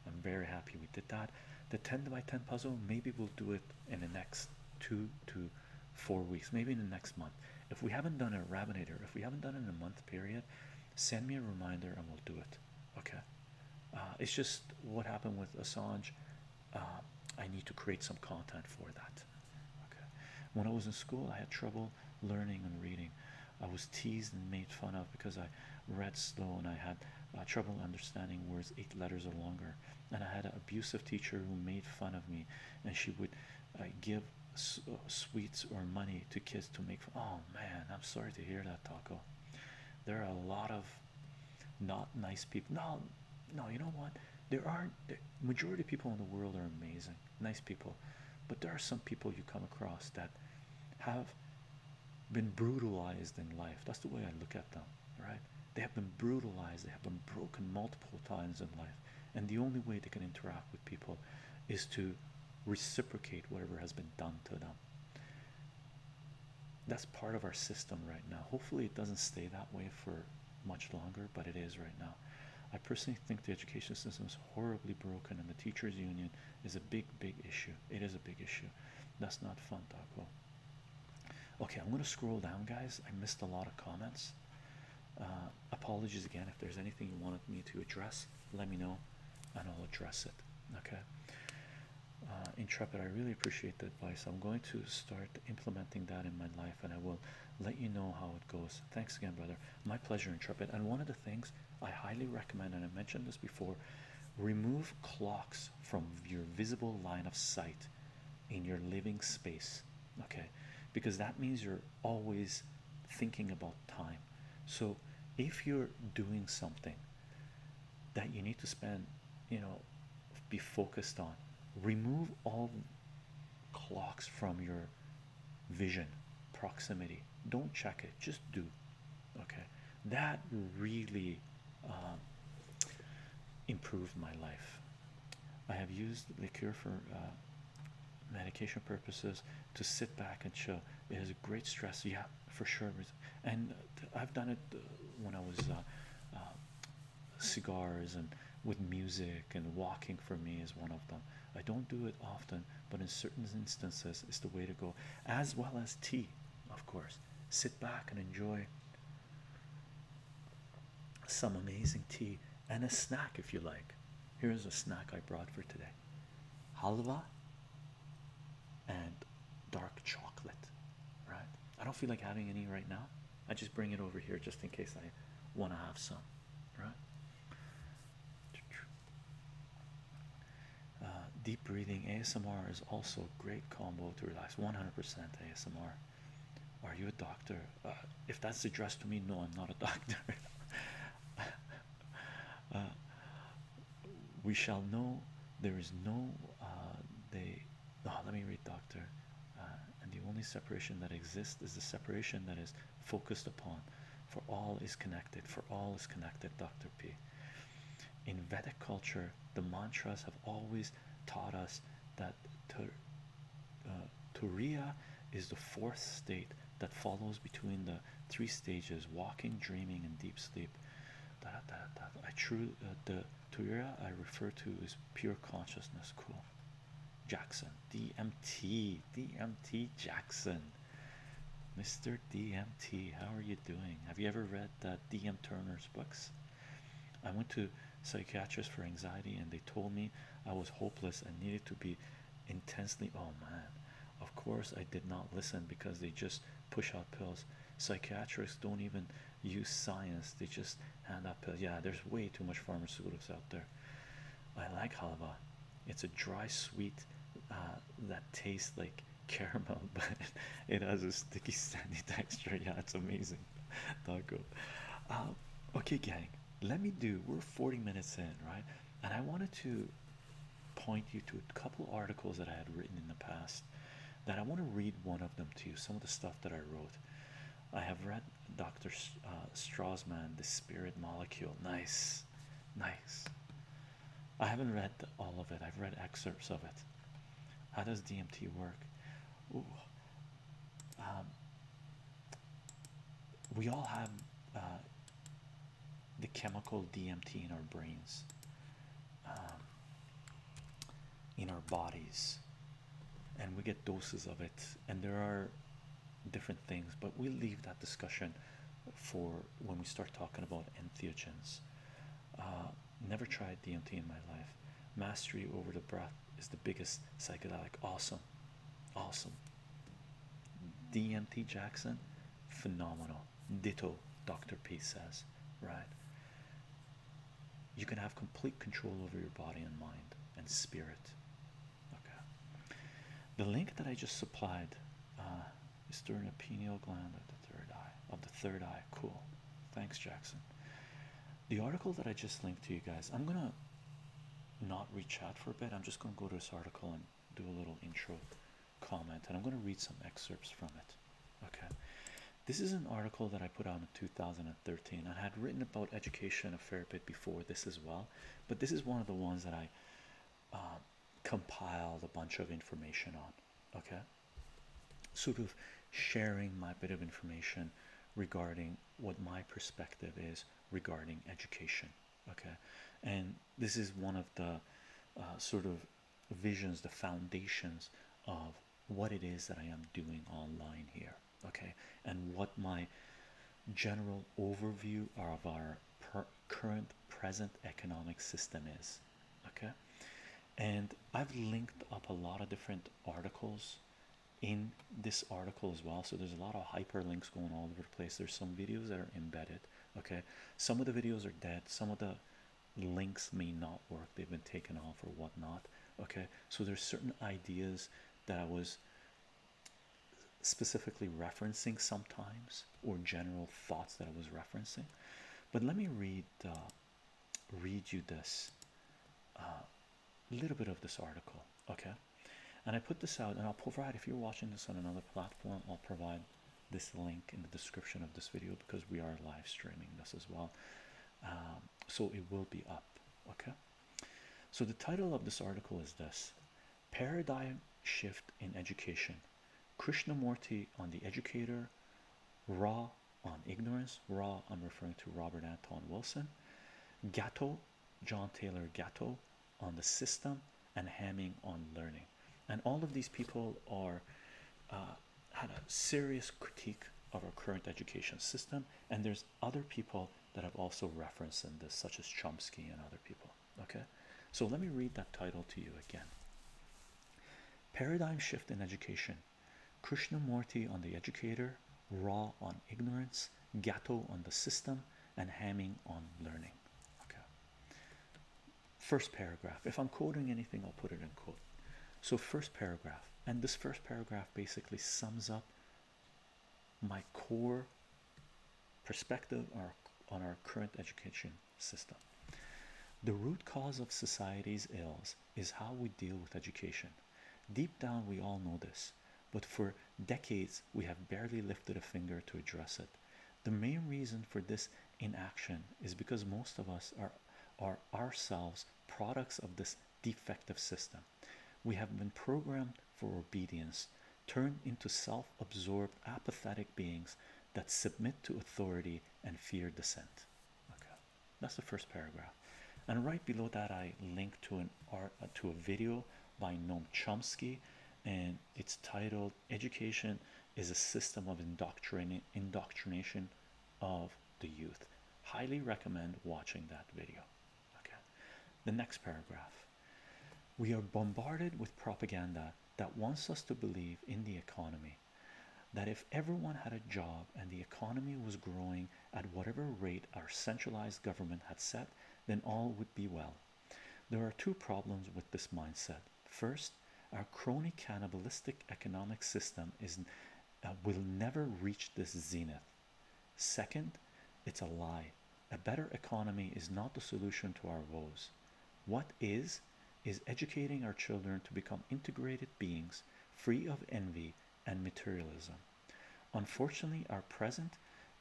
I'm very happy we did that the 10 by 10 puzzle maybe we'll do it in the next two to four weeks maybe in the next month if we haven't done a Rabinator, if we haven't done it in a month period send me a reminder and we'll do it okay uh, it's just what happened with Assange uh, I need to create some content for that okay when I was in school I had trouble learning and reading I was teased and made fun of because I read slow and I had uh, trouble understanding words eight letters or longer and I had an abusive teacher who made fun of me and she would give sweets or money to kids to make oh man I'm sorry to hear that taco there are a lot of not nice people. No, no, you know what? There aren't the majority of people in the world are amazing, nice people, but there are some people you come across that have been brutalized in life. That's the way I look at them, right? They have been brutalized, they have been broken multiple times in life, and the only way they can interact with people is to reciprocate whatever has been done to them that's part of our system right now. Hopefully, it doesn't stay that way for much longer, but it is right now. I personally think the education system is horribly broken, and the teachers' union is a big, big issue. It is a big issue. That's not fun, Taco. Okay, I'm going to scroll down, guys. I missed a lot of comments. Uh, apologies again if there's anything you wanted me to address. Let me know, and I'll address it. Okay. Uh, intrepid i really appreciate the advice i'm going to start implementing that in my life and i will let you know how it goes thanks again brother my pleasure intrepid and one of the things i highly recommend and i mentioned this before remove clocks from your visible line of sight in your living space okay because that means you're always thinking about time so if you're doing something that you need to spend, you know, be focused on. Remove all clocks from your vision, proximity. Don't check it, just do. Okay, that really um, improved my life. I have used the cure for uh, medication purposes to sit back and chill. It is a great stress. Yeah, for sure. And uh, I've done it uh, when I was uh, cigars and with music, and walking for me is one of them. I don't do it often, but in certain instances, it's the way to go, as well as tea, of course. Sit back and enjoy some amazing tea and a snack if you like. Here's a snack I brought for today halva and dark chocolate. Right? I don't feel like having any right now. I just bring it over here just in case I want to have some. Right? Uh, deep breathing ASMR is also a great combo to relax. 100% ASMR. Are you a doctor? Uh, if that's addressed to me, no, I'm not a doctor. Uh, we shall know there is no uh, they oh let me read doctor uh, and the only separation that exists is the separation that is focused upon for all is connected for all is connected dr p in vedic culture the mantras have always taught us that uh, turiya is the fourth state that follows between the three stages walking dreaming and deep sleep da, da, da, I truly uh, the Turia I refer to is pure consciousness. Cool, Jackson DMT DMT Jackson, Mr. DMT. How are you doing? Have you ever read DM Turner's books? I went to psychiatrists for anxiety, and they told me I was hopeless and needed to be intensely. Oh man, of course I did not listen because they just push out pills. Psychiatrists don't even use science, they just hand up pills. Yeah, there's way too much pharmaceuticals out there. I like halva, it's a dry, sweet uh, that tastes like caramel, but it has a sticky, sandy texture. Yeah, it's amazing. Taco. Um, okay, gang, let me do we're 40 minutes in, right? And I wanted to point you to a couple articles that I had written in the past that I want to read one of them to you. Some of the stuff that I wrote. I have read Dr. Uh, The Spirit Molecule. Nice, nice. I haven't read all of it, I've read excerpts of it. How does DMT work? Um, we all have uh, the chemical DMT in our brains. Um, in our bodies and we get doses of it and there are different things but we leave that discussion for when we start talking about entheogens uh, never tried dmt in my life mastery over the breath is the biggest psychedelic awesome awesome dmt jackson phenomenal ditto dr p says right you can have complete control over your body and mind and spirit. Okay. The link that I just supplied uh, is during the pineal gland of the third eye. Of the third eye. Cool. Thanks, Jackson. The article that I just linked to you guys, I'm gonna not reach out for a bit. I'm just gonna go to this article and do a little intro comment, and I'm gonna read some excerpts from it. Okay. This is an article that I put out in 2013. I had written about education a fair bit before this as well, but this is one of the ones that I um, compiled a bunch of information on. Okay, sort of sharing my bit of information regarding what my perspective is regarding education. Okay, and this is one of the uh, sort of visions, the foundations of what it is that I am doing online here, okay, and what my general overview of our current present economic system is, okay. And I've linked up a lot of different articles in this article as well. So there's a lot of hyperlinks going all over the place. There's some videos that are embedded. Okay, some of the videos are dead, some of the links may not work they've been taken off or whatnot okay so there's certain ideas that i was specifically referencing sometimes or general thoughts that i was referencing but let me read uh, read you this uh, little bit of this article okay and i put this out and i'll provide if you're watching this on another platform i'll provide this link in the description of this video because we are live streaming this as well um, so it will be up okay so the title of this article is this paradigm shift in education krishnamurti on the educator raw on ignorance raw i'm referring to robert anton wilson gatto john taylor gatto on the system and hamming on learning and all of these people are uh, had a serious critique of our current education system, and there's other people that have also referenced in this, such as Chomsky and other people. Okay, so let me read that title to you again. Paradigm shift in education. Krishnamurti on the educator, Raw on ignorance, Gatto on the system, and Hamming on learning. Okay. First paragraph. If I'm quoting anything, I'll put it in quote. So, first paragraph, and this first paragraph basically sums up my core perspective on our current education system. The root cause of society's ills is how we deal with education. Deep down, we all know this, but for decades, we have barely lifted a finger to address it. The main reason for this inaction is because most of us are, are ourselves products of this defective system. We have been programmed for obedience, turned into self absorbed, apathetic beings that submit to authority and fear dissent. Okay, that's the first paragraph. And right below that, I link to an art uh, to a video by Noam Chomsky, and it's titled Education is a System of Indoctrination of the youth. Highly recommend watching that video. Okay, the next paragraph we are bombarded with propaganda that wants us to believe in the economy. That if everyone had a job and the economy was growing at whatever rate our centralized government had set, then all would be well. There are two problems with this mindset. First, our crony cannibalistic economic system is uh, will never reach this zenith. Second, it's a lie. A better economy is not the solution to our woes. What is, is educating our children to become integrated beings free of envy and materialism. Unfortunately, our present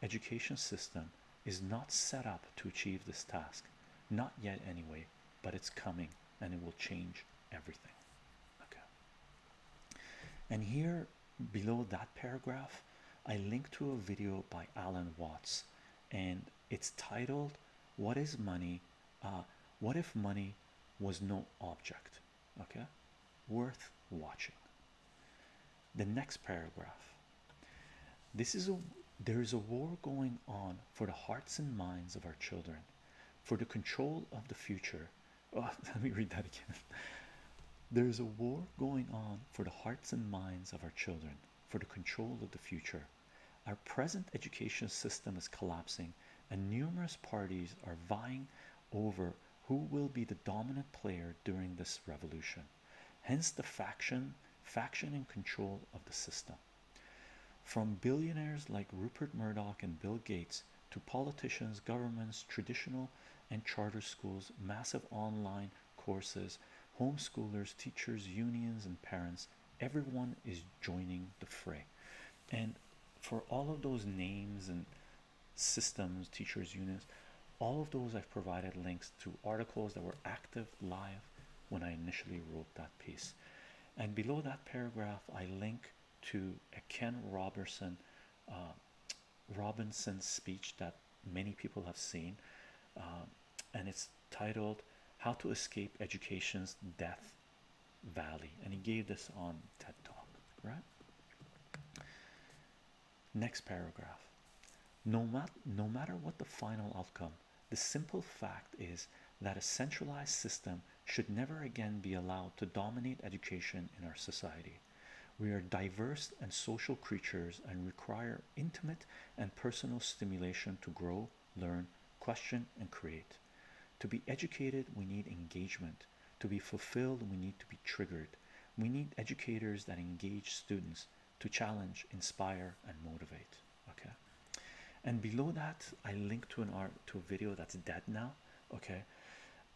education system is not set up to achieve this task, not yet, anyway but it's coming and it will change everything. Okay. And here below that paragraph, I link to a video by Alan Watts, and it's titled What is Money? Uh, what if money was no object? Okay, worth watching. The next paragraph. This is a there is a war going on for the hearts and minds of our children for the control of the future. Oh, let me read that again. There is a war going on for the hearts and minds of our children, for the control of the future. Our present educational system is collapsing, and numerous parties are vying over who will be the dominant player during this revolution. Hence the faction, faction in control of the system. From billionaires like Rupert Murdoch and Bill Gates to politicians, governments, traditional and charter schools, massive online courses, homeschoolers, teachers, unions, and parents, everyone is joining the fray. And for all of those names and systems, teachers, unions, all of those I've provided links to articles that were active live when I initially wrote that piece. And below that paragraph, I link to a Ken Robertson uh, Robinson speech that many people have seen, uh, and it's titled "How to Escape Education's Death Valley," and he gave this on TED Talk, right? Next paragraph. No, mat no matter what the final outcome, the simple fact is that a centralized system should never again be allowed to dominate education in our society. We are diverse and social creatures and require intimate and personal stimulation to grow, learn, question, and create. To be educated, we need engagement. To be fulfilled, we need to be triggered. We need educators that engage students to challenge, inspire, and motivate. Okay. And below that, I link to an art to a video that's dead now okay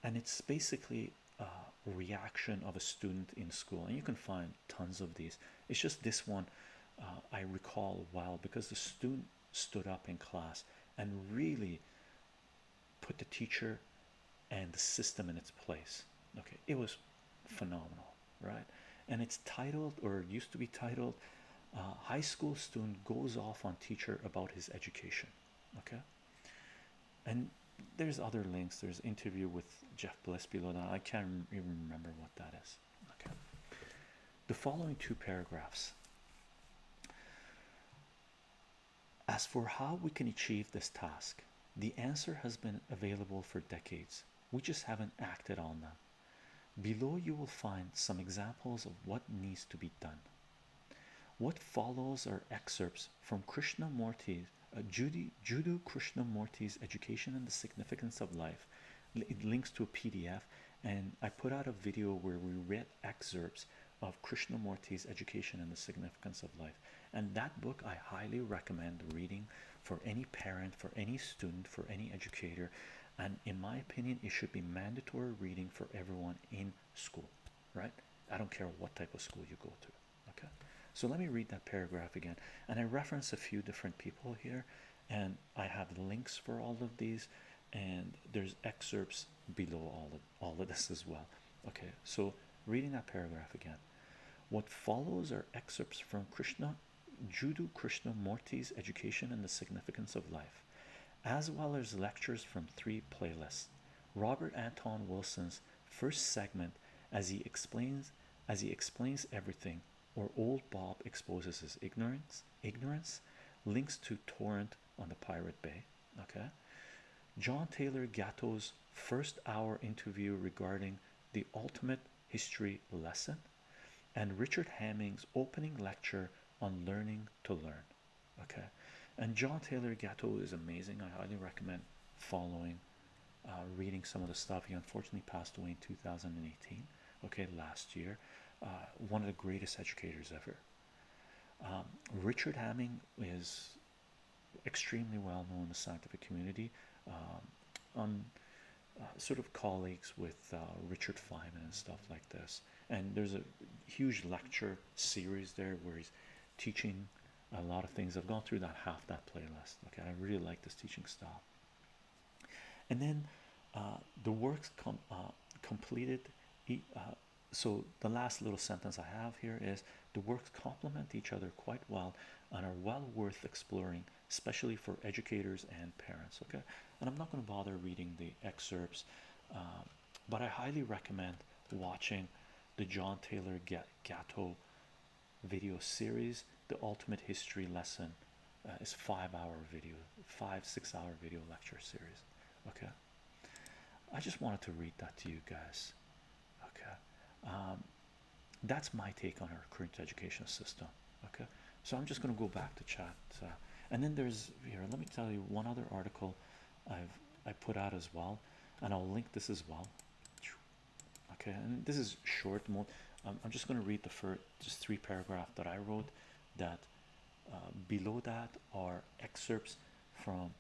and it's basically a reaction of a student in school and you can find tons of these it's just this one uh, i recall a while because the student stood up in class and really put the teacher and the system in its place okay it was phenomenal right and it's titled or used to be titled uh, high school student goes off on teacher about his education okay and there's other links there's interview with jeff bliss below that i can't even remember what that is okay the following two paragraphs as for how we can achieve this task the answer has been available for decades we just haven't acted on them below you will find some examples of what needs to be done what follows are excerpts from Krishnamurti's uh, "Judo Krishnamurti's Education and the Significance of Life. It links to a PDF, and I put out a video where we read excerpts of Krishnamurti's Education and the Significance of Life. And that book I highly recommend reading for any parent, for any student, for any educator. And in my opinion, it should be mandatory reading for everyone in school, right? I don't care what type of school you go to. Okay, so let me read that paragraph again, and I reference a few different people here, and I have links for all of these, and there's excerpts below all of all of this as well. Okay, so reading that paragraph again, what follows are excerpts from Krishna, Judhu Krishnamurti's education and the significance of life as well as lectures from three playlists. Robert Anton Wilson's first segment as he explains as he explains everything or old Bob exposes his ignorance ignorance links to torrent on the Pirate Bay okay John Taylor Gatto's first hour interview regarding the ultimate history lesson and Richard Hamming's opening lecture on learning to learn Okay, and John Taylor Gatto is amazing. I highly recommend following, uh, reading some of the stuff. He unfortunately passed away in 2018. Okay, last year, uh, one of the greatest educators ever. Um, Richard Hamming is extremely well known in the scientific community. on um, uh, sort of colleagues with Richard Feynman and stuff like this, and there's a huge lecture series there where he's teaching a lot of things. I've gone through that half that playlist. Okay, I really like this teaching style. And then uh, the works com uh, completed. Uh, so the last little sentence I have here is the works complement each other quite well and are well worth exploring, especially for educators and parents. Okay, and I'm not going to bother reading the excerpts. Um, but I highly recommend watching the John Taylor Gatto video series. The ultimate history lesson uh, is five-hour video, five six-hour video lecture series. Okay, I just wanted to read that to you guys. Okay, um, that's my take on our current education system. Okay, so I'm just going to go back to chat, uh, and then there's here. Let me tell you one other article I've I put out as well, and I'll link this as well. Okay, and this is short mode. Um, I'm just going to read the first just three paragraph that I wrote. That uh, below that are excerpts from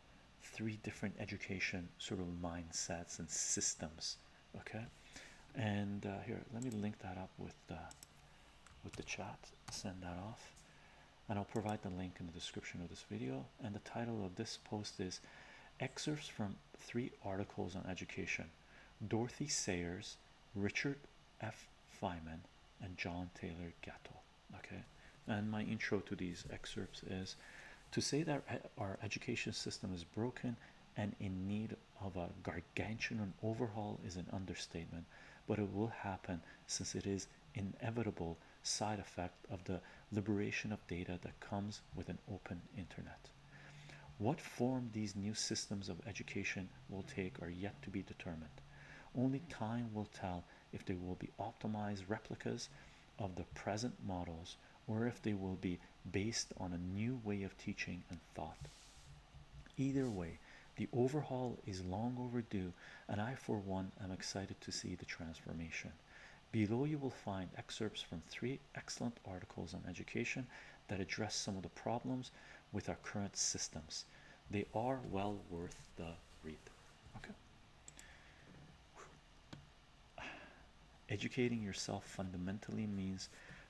three different education sort of mindsets and systems. Okay, and uh, here let me link that up with the uh, with the chat. Send that off and I'll provide the link in the description of this video. And the title of this post is Excerpts from Three Articles on Education Dorothy Sayers, Richard F. Feynman, and John Taylor Gatto. Okay, and my intro to these excerpts is to say that our education system is broken and in need of a gargantuan overhaul is an understatement, but it will happen since it is inevitable side effect of the liberation of data that comes with an open internet. What form these new systems of education will take are yet to be determined. Only time will tell if they will be optimized replicas of the present models or if they will be based on a new way of teaching and thought. Either way, the overhaul is long overdue, and I, for one, am excited to see the transformation. Below, you will find excerpts from three excellent articles on education that address some of the problems with our current systems. They are well worth the read. Okay. Educating yourself fundamentally means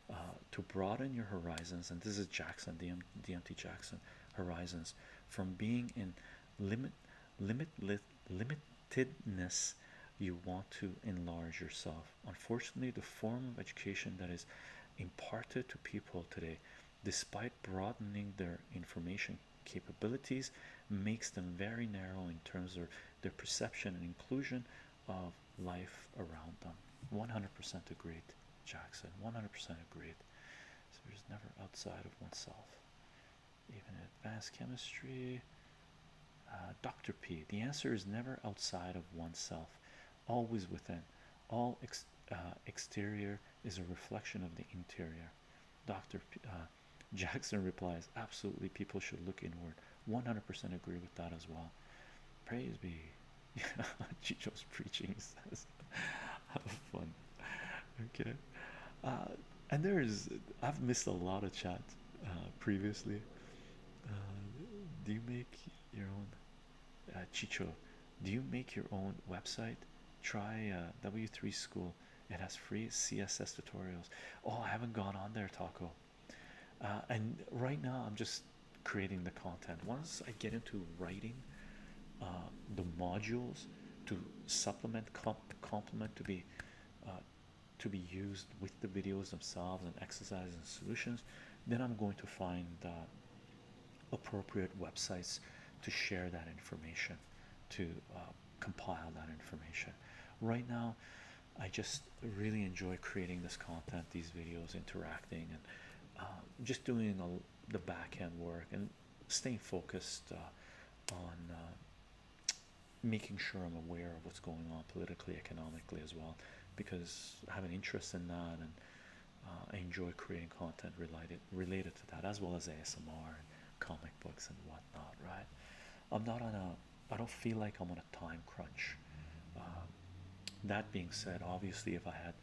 uh, to broaden your horizons, and this is Jackson, DM, Jackson, horizons from being in limit limit limitedness you want to enlarge yourself unfortunately the form of education that is imparted to people today despite broadening their information capabilities makes them very narrow in terms of their perception and inclusion of life around them 100% agreed jackson 100% agreed so we never outside of oneself. Even in advanced chemistry, uh, Dr. P, the answer is never outside of oneself, always within. All uh, exterior is a reflection of the interior. Dr. Uh, Jackson replies, Absolutely, people should look inward. 100% agree with that as well. Praise be. Yeah, Chicho's preaching, says have fun okay uh, and there's I've missed a lot of chat uh, previously uh, do you make your own uh, Chicho do you make your own website try uh, w3 school it has free css tutorials oh i haven't gone on there taco uh, and right now i'm just creating the content once i get into writing uh, the modules to supplement comp complement to be uh, to be used with the videos themselves and exercises and solutions then i'm going to find uh, appropriate websites to share that information to uh, compile that information right now i just really enjoy creating this content these videos interacting and just doing a, the back end work and staying focused uh, on uh, making sure I'm aware of what's going on politically, economically as well, because I have an interest in that and uh, I enjoy creating content related related to that, as well as ASMR and comic books and whatnot. Right? I'm not on a. I don't feel like I'm on a time crunch. Um, that being said, obviously, if I had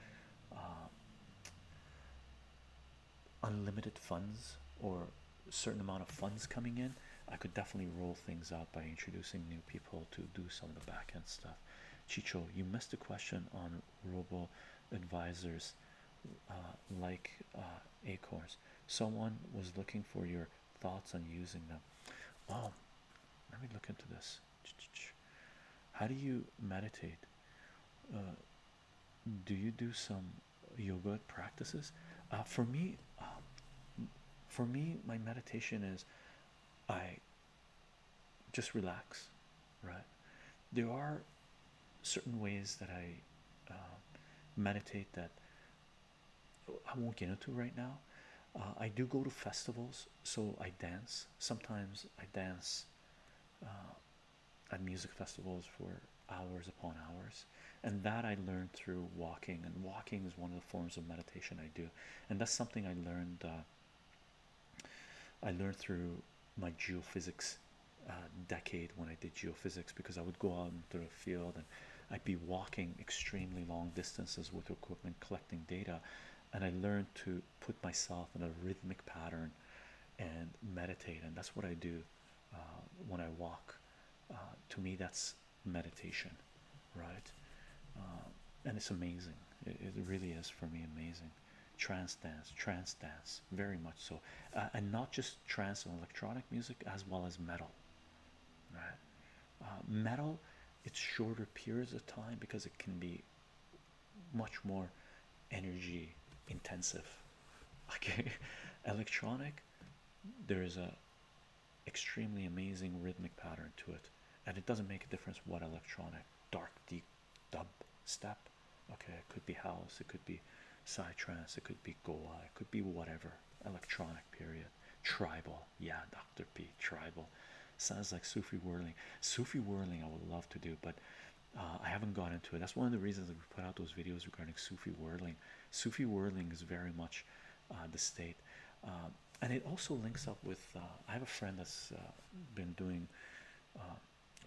unlimited funds or a certain amount of funds coming in, I could definitely roll things out by introducing new people to do some of the back end stuff. Chicho, you missed a question on robo advisors uh, like uh, Acorns. Someone was looking for your thoughts on using them. Oh, let me look into this. How do you meditate? Uh, do you do some yoga practices uh, for me um, for me my meditation is i just relax right there are certain ways that i um, meditate that i won't get into right now uh, i do go to festivals so i dance sometimes i dance uh, at music festivals for hours upon hours and that i learned through walking and walking is one of the forms of meditation i do and that's something i learned uh, i learned through my geophysics uh, decade when i did geophysics because i would go out into the field and i'd be walking extremely long distances with equipment collecting data and i learned to put myself in a rhythmic pattern and meditate and that's what i do uh, when I walk. Uh, to me, that's meditation, right? Uh, and it's amazing. It, really is for me amazing. Trance dance, trance dance, very much so, and not just trance and electronic music as well as metal. Right, metal. It's shorter periods of time because it can be much more energy intensive okay electronic there is a extremely amazing rhythmic pattern to it and it doesn't make a difference what electronic dark deep dub step okay it could be house it could be trance, it could be goa it could be whatever electronic period tribal yeah dr p tribal sounds like sufi whirling sufi whirling i would love to do but uh, I haven't gone into it. That's one of the reasons that we put out those videos regarding Sufi wordling. Sufi wordling is very much uh, the state, um, and it also links up with. Uh, I have a friend that's been doing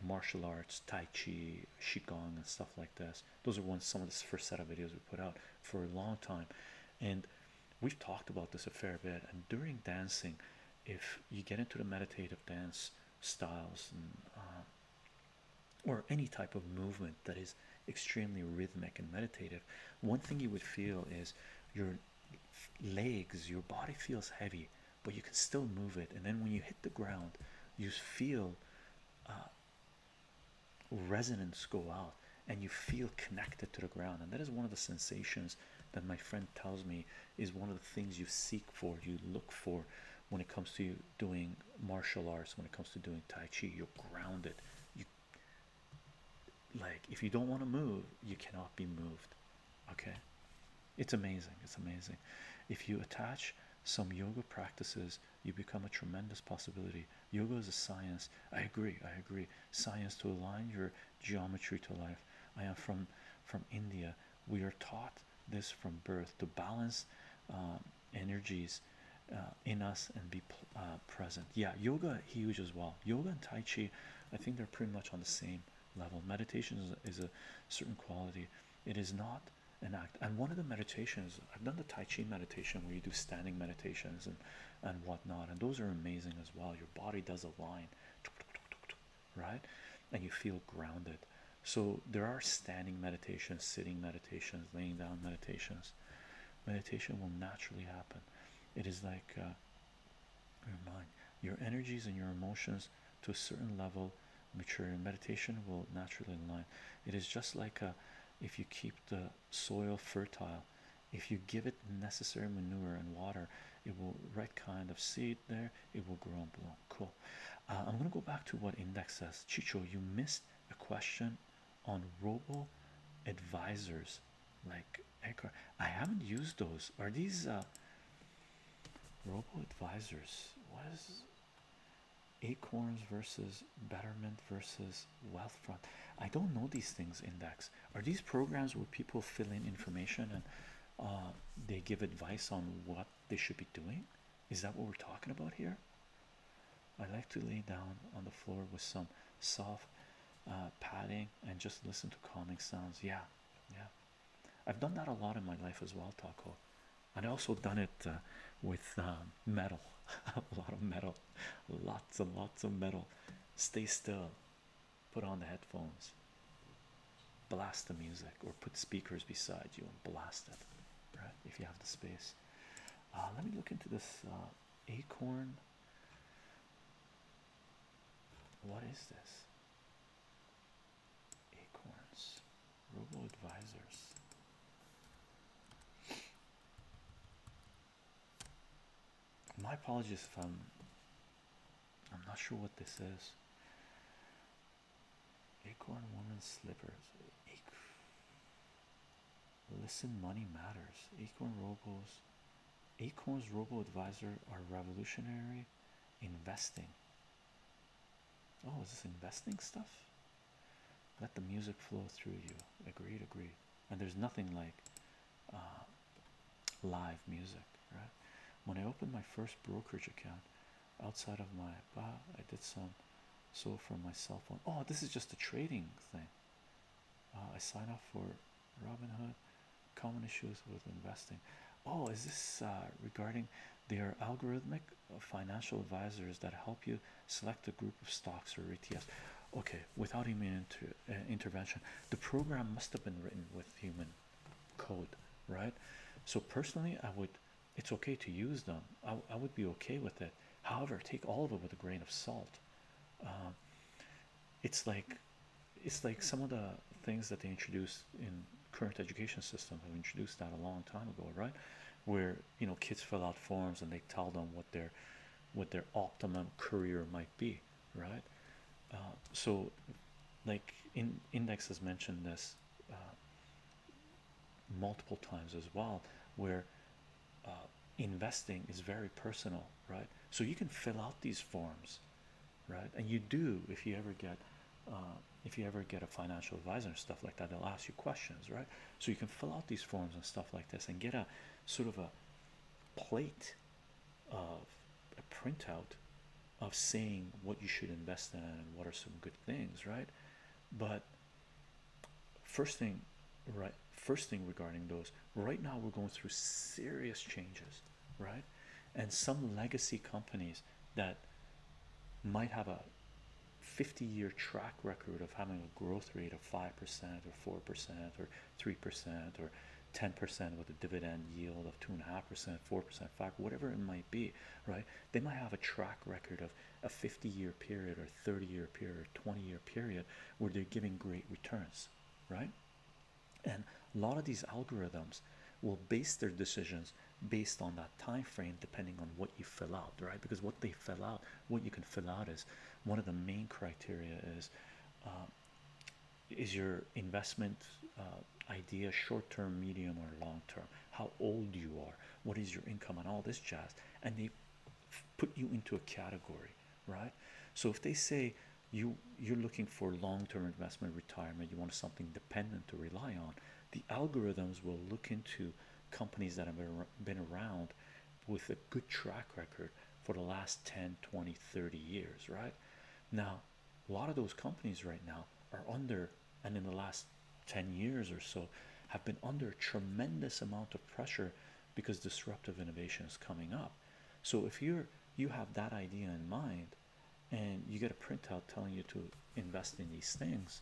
martial arts, Tai Chi, Qigong, and stuff like this. Those are one some of the first set of videos we put out for a long time, and we've talked about this a fair bit. And during dancing, if you get into the meditative dance styles and or any type of movement that is extremely rhythmic and meditative, one thing you would feel is your legs, your body feels heavy, but you can still move it. And then when you hit the ground, you feel uh, resonance go out and you feel connected to the ground. And that is one of the sensations that my friend tells me is one of the things you seek for, you look for when it comes to doing martial arts when it comes to doing tai chi you're grounded you like if you don't want to move you cannot be moved okay it's amazing it's amazing if you attach some yoga practices you become a tremendous possibility yoga is a science i agree i agree science to align your geometry to life i am from from india we are taught this from birth to balance um, energies uh, in us and be uh, present yeah yoga huge as well yoga and tai chi i think they're pretty much on the same level meditation is, a certain quality it is not an act and one of the meditations i've done the tai chi meditation where you do standing meditations and and whatnot and those are amazing as well your body does align, right and you feel grounded so there are standing meditations, sitting meditations, laying down meditations. Meditation will naturally happen. It is like uh, your mind, your energies, and your emotions to a certain level mature. And meditation will naturally align. It is just like a, uh, if you keep the soil fertile, if you give it necessary manure and water, it will right kind of seed there. It will grow and bloom. Cool. Uh, I'm gonna go back to what index says. Chicho, you missed a question on robo advisors like Anchor. I haven't used those. Are these uh, robo advisors? What is acorns versus betterment versus wealthfront? I don't know these things. Index are these programs where people fill in information and uh, they give advice on what they should be doing. Is that what we're talking about here? I like to lay down on the floor with some soft uh, padding and just listen to calming sounds. Yeah, yeah. I've done that a lot in my life as well, Taco. And I also done it uh, with um, metal, a lot of metal, lots and lots of metal. Stay still, put on the headphones, blast the music or put speakers beside you and blast it, right? If you have the space. Uh, let me look into this uh, acorn. What is this? Acorns, robo advisors. My apologies if I'm I'm not sure what this is. Acorn Woman's Slippers. Ac Listen, money matters. Acorn Robos. Acorn's Robo Advisor are revolutionary investing. Oh, is this investing stuff? Let the music flow through you. Agreed, agreed. And there's nothing like uh, live music, right? When I opened my first brokerage account, outside of my I did some so for my cell phone. Oh, this is just a trading thing. Uh, I sign up for Robinhood. Common issues with investing. Oh, is this uh, regarding their algorithmic uh, financial advisors that help you select a group of stocks or ETFs? Okay, without human inter uh, intervention, the program must have been written with human code, right? So personally, I would it's okay to use them. I, I would be okay with it. However, take all of it with a grain of salt. Um, it's like it's like some of the things that they introduced in current education system have introduced that a long time ago, right? Where you know kids fill out forms and they tell them what their what their optimum career might be, right? Uh, so, like in indexes mentioned this. Uh, multiple times as well where uh, investing is very personal right so you can fill out these forms right and you do if you ever get uh, if you ever get a financial advisor and stuff like that they'll ask you questions right so you can fill out these forms and stuff like this and get a sort of a plate of a printout of saying what you should invest in and what are some good things right but first thing right first thing regarding those right now we're going through serious changes right and some legacy companies that might have a 50 year track record of having a growth rate of 5% or 4% or 3% or 10% with a dividend yield of 2.5%, 4%, 5 whatever it might be, right? they might have a track record of a 50 year period or 30 year period or 20 year period where they're giving great returns right and a lot of these algorithms will base their decisions based on that time frame depending on what you fill out right because what they fill out what you can fill out is one of the main criteria is um, is your investment uh, idea short term medium or long term how old you are, what is your income, and all this jazz. And they put you into a category, right? So if they say you you're looking for long-term investment retirement, you want something dependent to rely on, the algorithms will look into companies that have been around with a good track record for the last 10 20 30 years right now a lot of those companies right now are under and in the last 10 years or so have been under a tremendous amount of pressure because disruptive innovation is coming up so if you're you have that idea in mind and you get a printout telling you to invest in these things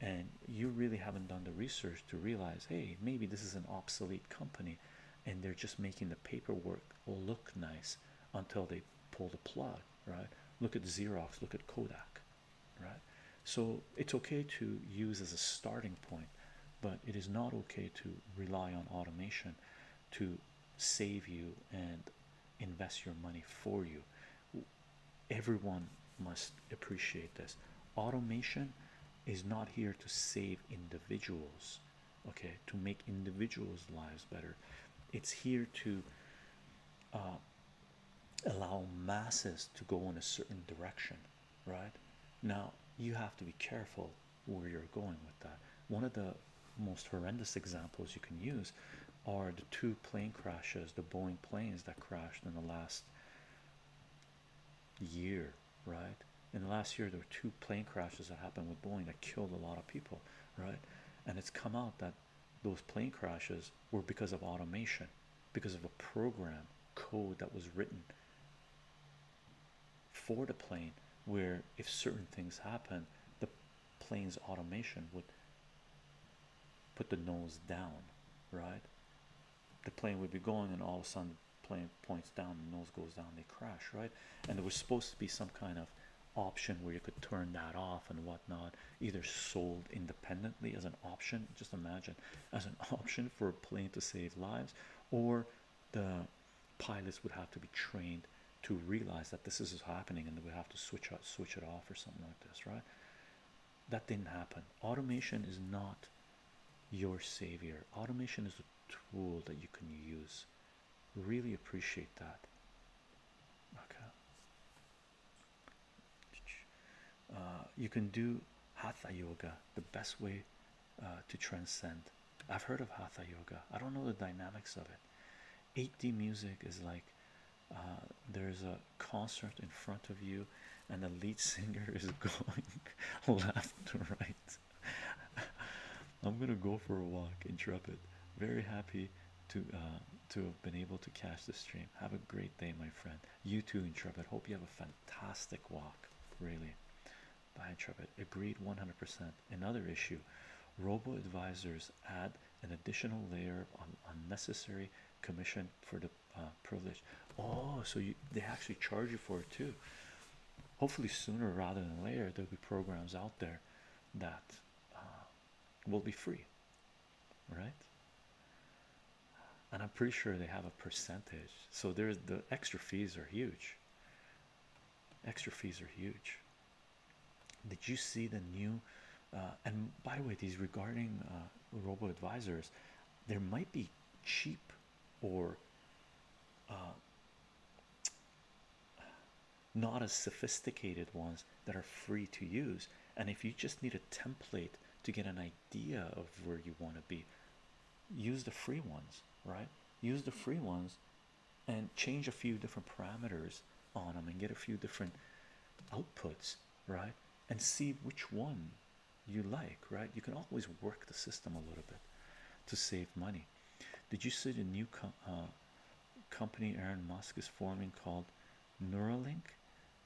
and you really haven't done the research to realize hey maybe this is an obsolete company and they're just making the paperwork look nice until they pull the plug right look at xerox look at kodak right? So it's okay to use as a starting point, but it is not okay to rely on automation to save you and invest your money for you. Everyone must appreciate this. Automation is not here to save individuals, okay, to make individuals' lives better. It's here to uh, allow masses to go in a certain direction right now you have to be careful where you're going with that one of the most horrendous examples you can use are the two plane crashes the boeing planes that crashed in the last year right in the last year there were two plane crashes that happened with boeing that killed a lot of people right and it's come out that those plane crashes were because of automation, because of a program code that was written for the plane, where if certain things happen, the plane's automation would put the nose down, right? The plane would be going, and all of a sudden, the plane points down, the nose goes down, they crash, right? And there was supposed to be some kind of option where you could turn that off and whatnot either sold independently as an option just imagine as an option for a plane to save lives or the pilots would have to be trained to realize that this is happening and they would have to switch switch it off or something like this right that didn't happen automation is not your savior automation is a tool that you can use really appreciate that okay uh, you can do hatha yoga, the best way uh, to transcend. I've heard of hatha yoga. I don't know the dynamics of it. 8D music is like uh, there's a concert in front of you, and the lead singer is going left to right. I'm gonna go for a walk, intrepid. Very happy to to have been able to catch the stream. Have a great day, my friend. You too, Intrepid. Hope you have a fantastic walk. Really. Bye, Intrepid. Agreed 100%. Another issue robo advisors add an additional layer on unnecessary commission for the uh, privilege. Oh, so you they actually charge you for it too. Hopefully, sooner rather than later, there'll be programs out there that uh, will be free right? And I'm pretty sure they have a percentage, so there's the extra fees are huge. Extra fees are huge. Did you see the new? Uh, and by the way, these regarding uh, robo advisors, there might be cheap or uh, not as sophisticated ones that are free to use. And if you just need a template to get an idea idea of where you want to be use the free ones right use the free ones and change a few different parameters on them and get a few different outputs right and see which one you like right you can always work the system a little bit to save money did you see the new uh, company Aaron Musk is forming called Neuralink.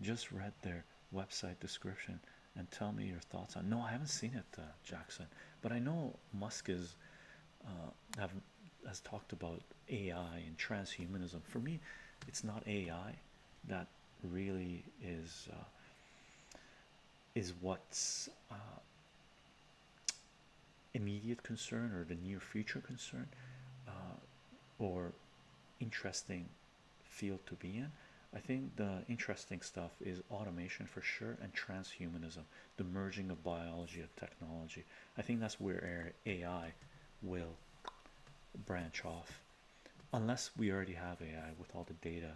Just read their website description and tell me your thoughts on. No, I haven't seen it, uh, Jackson. But I know Musk uh, has talked about AI and transhumanism. For me, it's not AI that really is uh, is what's immediate concern or the near future concern or interesting field to be in. I think the interesting stuff is automation for sure and transhumanism, the merging of biology of technology. I think that's where AI will branch off, unless we already have AI with all the data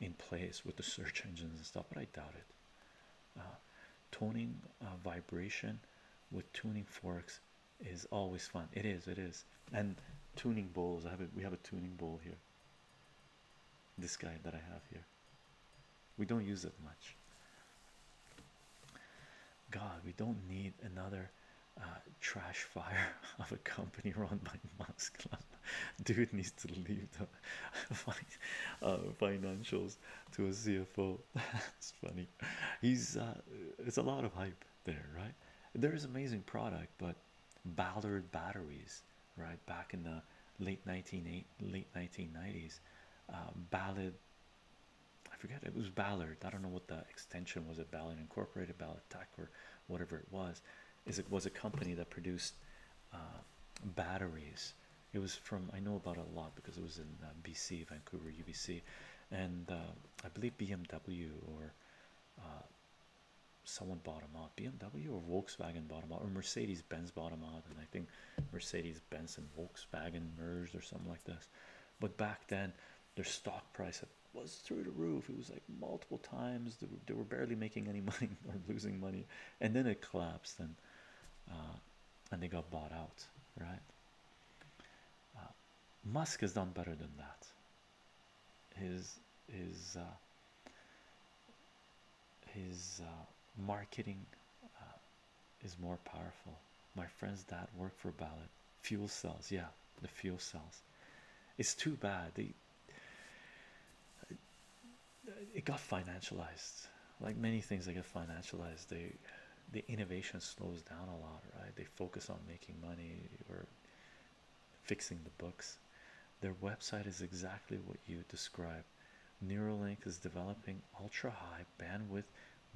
in place with the search engines and stuff, but I doubt it. Uh, tuning, uh, vibration with tuning forks is always fun. It is, it is. And tuning bowls. I have we have a tuning bowl here. This guy that I have here. We don't use it much. God, we don't need another uh, trash fire of a company run by Musk. Dude needs to leave the uh, financials to a CFO. That's funny. He's uh, it's a lot of hype there, right? There is amazing product, but Ballard batteries, right? Back in the late 1980 late 1990s, uh, Ballard. I forget it was Ballard. I don't know what the extension was. It Ballard Incorporated, Ballard Tech, or whatever it was. Is it was a company that produced uh, batteries? It was from I know about a lot because it was in uh, BC, Vancouver, UBC, and I believe BMW or someone bought them out BMW or Volkswagen bought them out or Mercedes Benz bought them out and I think Mercedes Benz and Volkswagen merged or something like this but back then their stock price was through the roof it was like multiple times they were, barely making any money or losing money and then it collapsed and uh, and they got bought out right uh, Musk has done better than that his his uh, his uh, marketing uh, is more powerful. My friend's dad worked for Ballard fuel cells. Yeah, the fuel cells. It's too bad they it got financialized. Like many things they get financialized, they the innovation slows down a lot, right? They focus on making money or fixing the books. Their website is exactly what you describe. Neuralink is developing ultra high bandwidth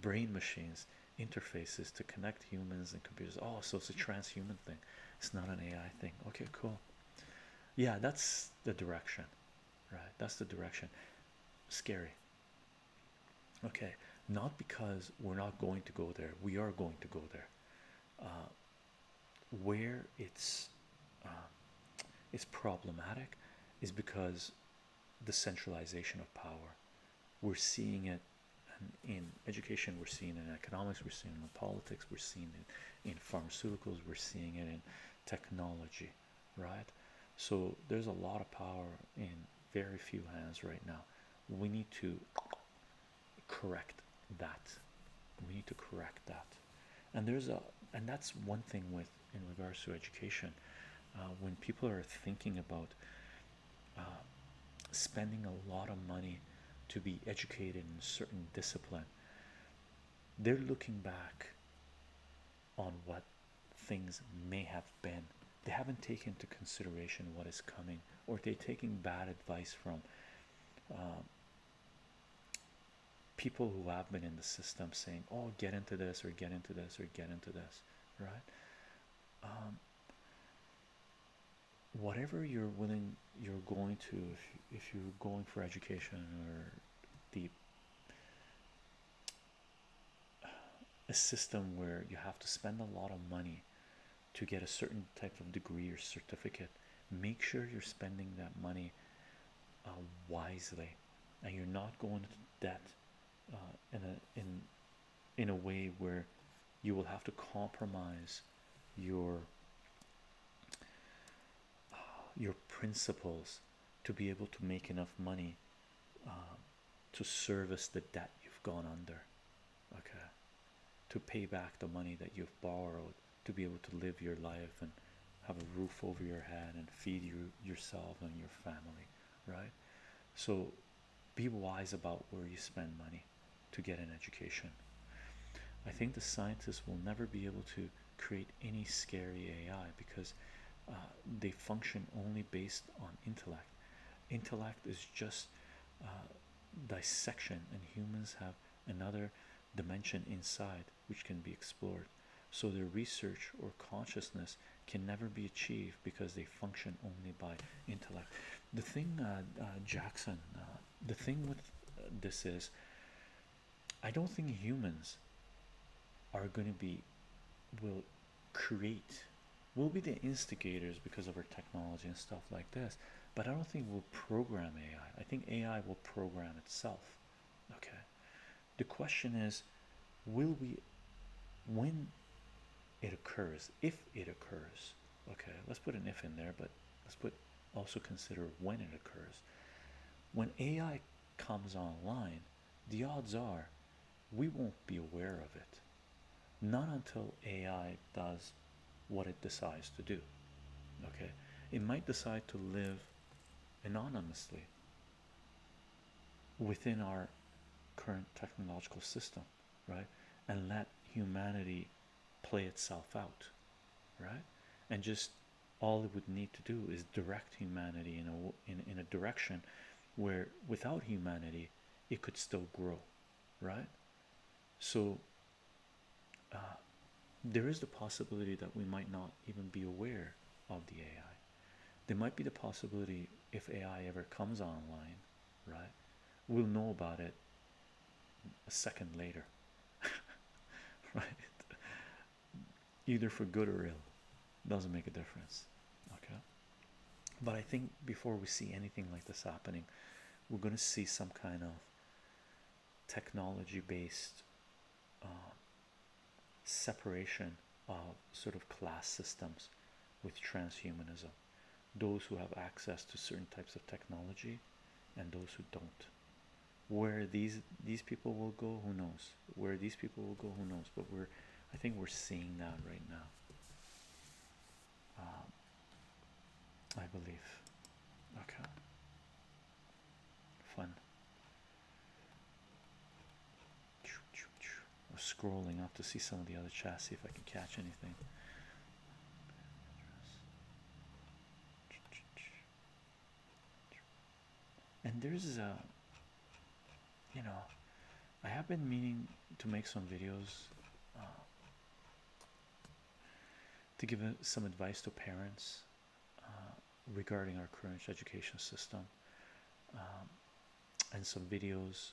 brain machines interfaces to connect humans and computers. Oh, so it's a transhuman thing, it's not an AI thing. Okay, cool. Yeah, that's the direction, right? That's the direction. Scary. Okay, not because we're not going to go there, we are going to go there. Uh, where it's uh, it's problematic is because the centralization of power we're seeing it in education we're seeing it in economics we're seeing it in politics we're seeing it in pharmaceuticals we're seeing it in technology right so there's a lot of power in very few hands right now we need to correct that we need to correct that and there's a and that's one thing with in regards to education uh, when people are thinking about uh, spending a lot of money to be educated in a certain discipline they're looking back on what things may have been they haven't taken into consideration what is coming or they're taking bad advice from um, people who have been in the system saying, "Oh, get into this, or get into this, or get into this," right? Um, whatever you're willing, you're going to. if you're going for education or the a system where you have to spend a lot of money to get a certain type of degree or certificate, make sure you're spending that money uh, wisely and you're not going to debt uh, in a in in a way where you will have to compromise your uh, your principles to be able to make enough money to service the debt you've gone under okay to pay back the money that you've borrowed to be able to live your life and have a roof over your head and feed you yourself and your family right so be wise about where you spend money to get an education i think the scientists will never be able to create any scary ai because uh, they function only based on intellect intellect is just uh, dissection, and humans have another dimension inside which can be explored. So, their research or consciousness can never be achieved because they function only by intellect. The thing, uh, uh, Jackson, uh, the thing with this is, I don't think humans are going to be will create will be the instigators because of our technology and stuff like this but i don't think we'll program AI. I think AI will program itself. Okay. The question is, will we when it occurs, if it occurs? Okay, let's put an if in there, but let's put also consider when it occurs. When AI comes online, the odds are we won't be aware of it. Not until AI does what it decides to do. Okay, it might decide to live anonymously within our current technological system, right? And let humanity play itself out, right? And just all it would need to do is direct humanity in a in, in a direction where without humanity it could still grow, right? So uh, there is the possibility that we might not even be aware of the AI. There might be the possibility if AI ever comes online, right? We'll know about it a second later, right? Either for good or ill, doesn't make a difference, okay? But I think before we see anything like this happening, we're going to see some kind of technology based um, separation of sort of class systems with transhumanism those who have access to certain types of technology and those who don't where these these people will go who knows where these people will go who knows but we're i think we're seeing that right now um, I believe. Okay, fun. I'm scrolling up to see some of the other chassis if I can catch anything. And there's a, you know, I have been meaning to make some videos. Uh, to give some advice to parents uh, regarding our current education system um, and some videos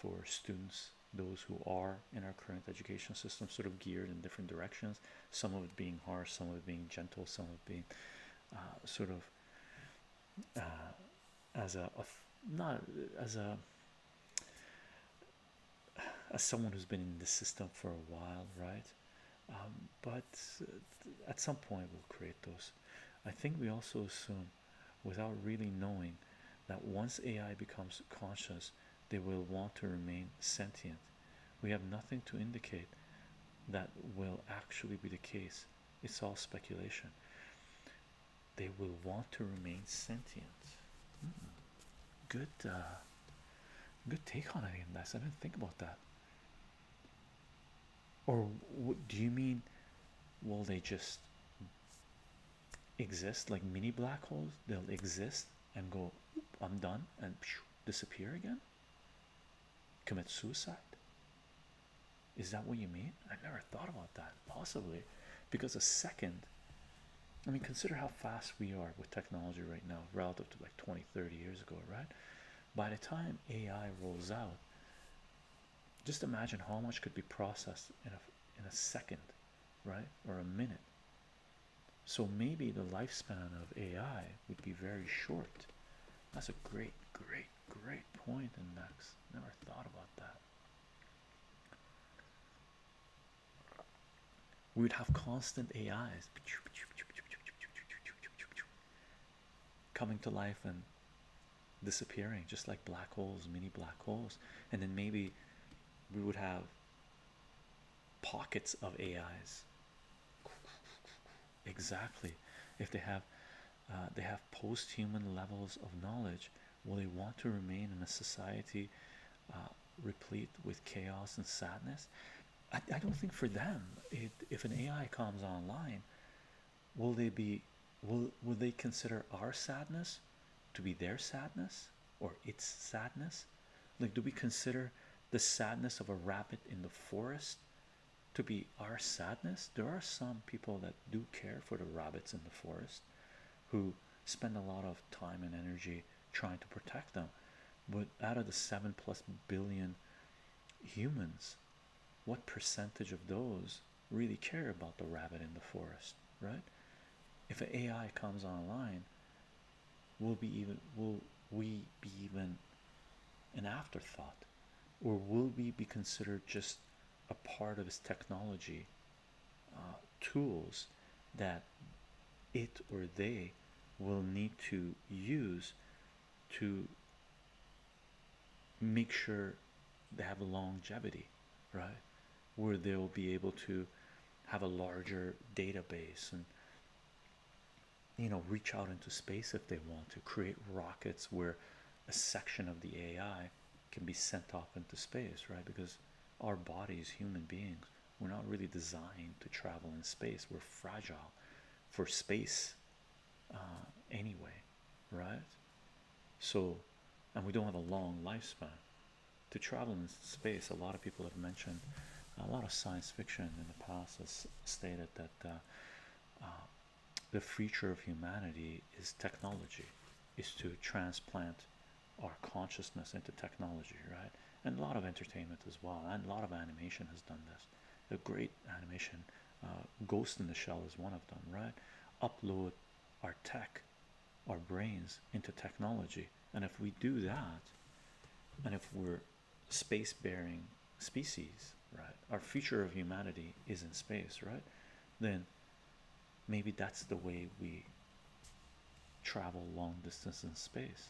for students those who are in our current education system sort of geared in different directions some of it being harsh some of it being gentle some of it being uh, sort of uh, as a not as a as someone who's been in the system for a while, right? Um, but uh, at some point, we'll create those. I think we also assume, without really knowing, that once AI becomes conscious, they will want to remain sentient. We have nothing to indicate that will actually be the case, it's all speculation. They will want to remain sentient good uh, good take on any of this. I didn't think about that. Or do you mean will they just exist like mini black holes? They'll exist and go, I'm done, and disappear again? Commit suicide? Is that what you mean? I never thought about that. Possibly because a second I mean, consider how fast we are with technology right now relative to like 20, 30 years ago, right? By the time AI rolls out, just imagine how much could be processed in a, in a second, right? Or a minute. So maybe the lifespan of AI would be very short. That's a great, great, great point, Max Never thought about that. We'd have constant AIs coming to life and disappearing, just like black holes, mini black holes, and then maybe we would have pockets of AIs. Exactly, if they have, uh, they have post-human levels of knowledge. Will they want to remain in a society uh, replete with chaos and sadness. I, don't think for them, if an AI comes online, will they be will will they consider our sadness to be their sadness or its sadness? Like, do we consider the sadness of a rabbit in the forest to be our sadness? There are some people that do care for the rabbits in the forest who spend a lot of time and energy trying to protect them. But out of the seven plus billion humans, what percentage of those really care about the rabbit in the forest, right? If an AI comes online, will be even will we be even an afterthought, or will we be considered just a part of his technology? Uh, tools that it or they will need to use to make sure they have longevity, right? Where they'll be able to have a larger database and you know reach out into space if they want to create rockets where a section of the AI can be sent off into space, right? Because our bodies, human beings, we're not really designed to travel in space. We're fragile for space uh, anyway, right? So, and we don't have a long lifespan. To travel in space, a lot of people have mentioned, a lot of science fiction in the past has stated that uh, uh, the future of humanity is technology, is to transplant our consciousness into technology, right? And a lot of entertainment as well, and a lot of animation has done this. A great animation, uh, Ghost in the Shell is one of them, right? Upload our tech, our brains into technology, and if we do that, and if we're space bearing species, right? Our future of humanity is in space, right? Then maybe that's the way we travel long distance in space.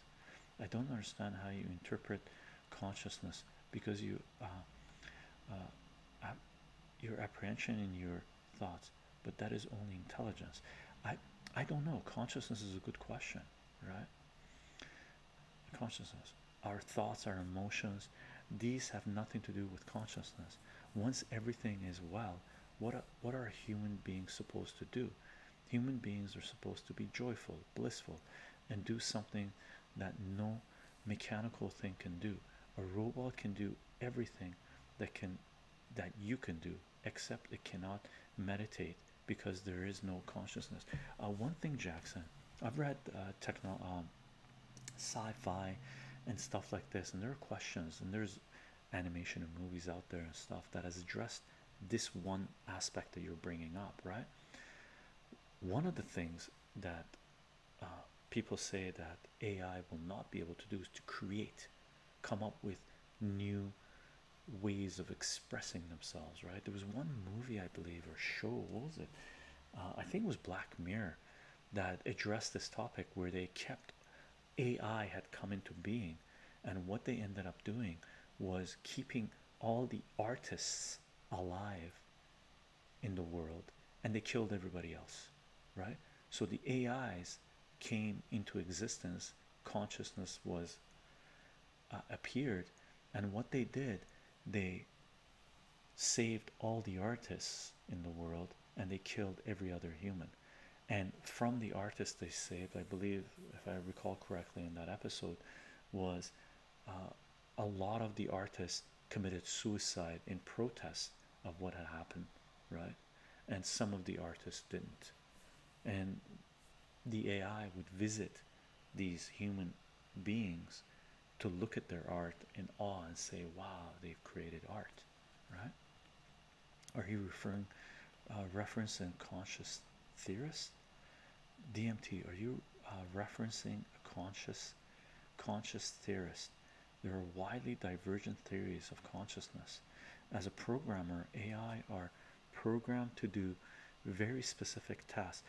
I don't understand how you interpret consciousness because you uh, uh, your apprehension and your thoughts, but that is only intelligence. I I don't know. Consciousness is a good question, right? Consciousness. Our thoughts, our emotions, these have nothing to do with consciousness. Once everything is well, what what are human beings supposed to do? Human beings are supposed to be joyful, blissful, and do something that no mechanical thing can do. A robot can do everything that can that you can do, except it cannot meditate because there is no consciousness. Uh, one thing, Jackson, I've read uh, techno um, sci-fi and stuff like this, and there are questions, and there's animation and movies out there and stuff that has addressed this one aspect that you're bringing up, right? One of the things that uh, people say that AI will not be able to do is to create, come up with new ways of expressing themselves, right? There was one movie, I believe, or show, what was it? Uh, I think it was Black Mirror that addressed this topic where they kept AI had come into being and what they ended up doing was keeping all the artists alive in the world and they killed everybody else right so the ais came into existence consciousness was uh, appeared and what they did they saved all the artists in the world and they killed every other human and from the artist they saved i believe if i recall correctly in that episode was uh, a lot of the artists committed suicide in protest of what had happened right and some of the artists didn't and the ai would visit these human beings to look at their art in awe and say wow they've created art right are you referring uh, reference and conscious theorist dmt are you uh, referencing a conscious conscious theorist there are widely divergent theories of consciousness as a programmer ai are programmed to do very specific tasks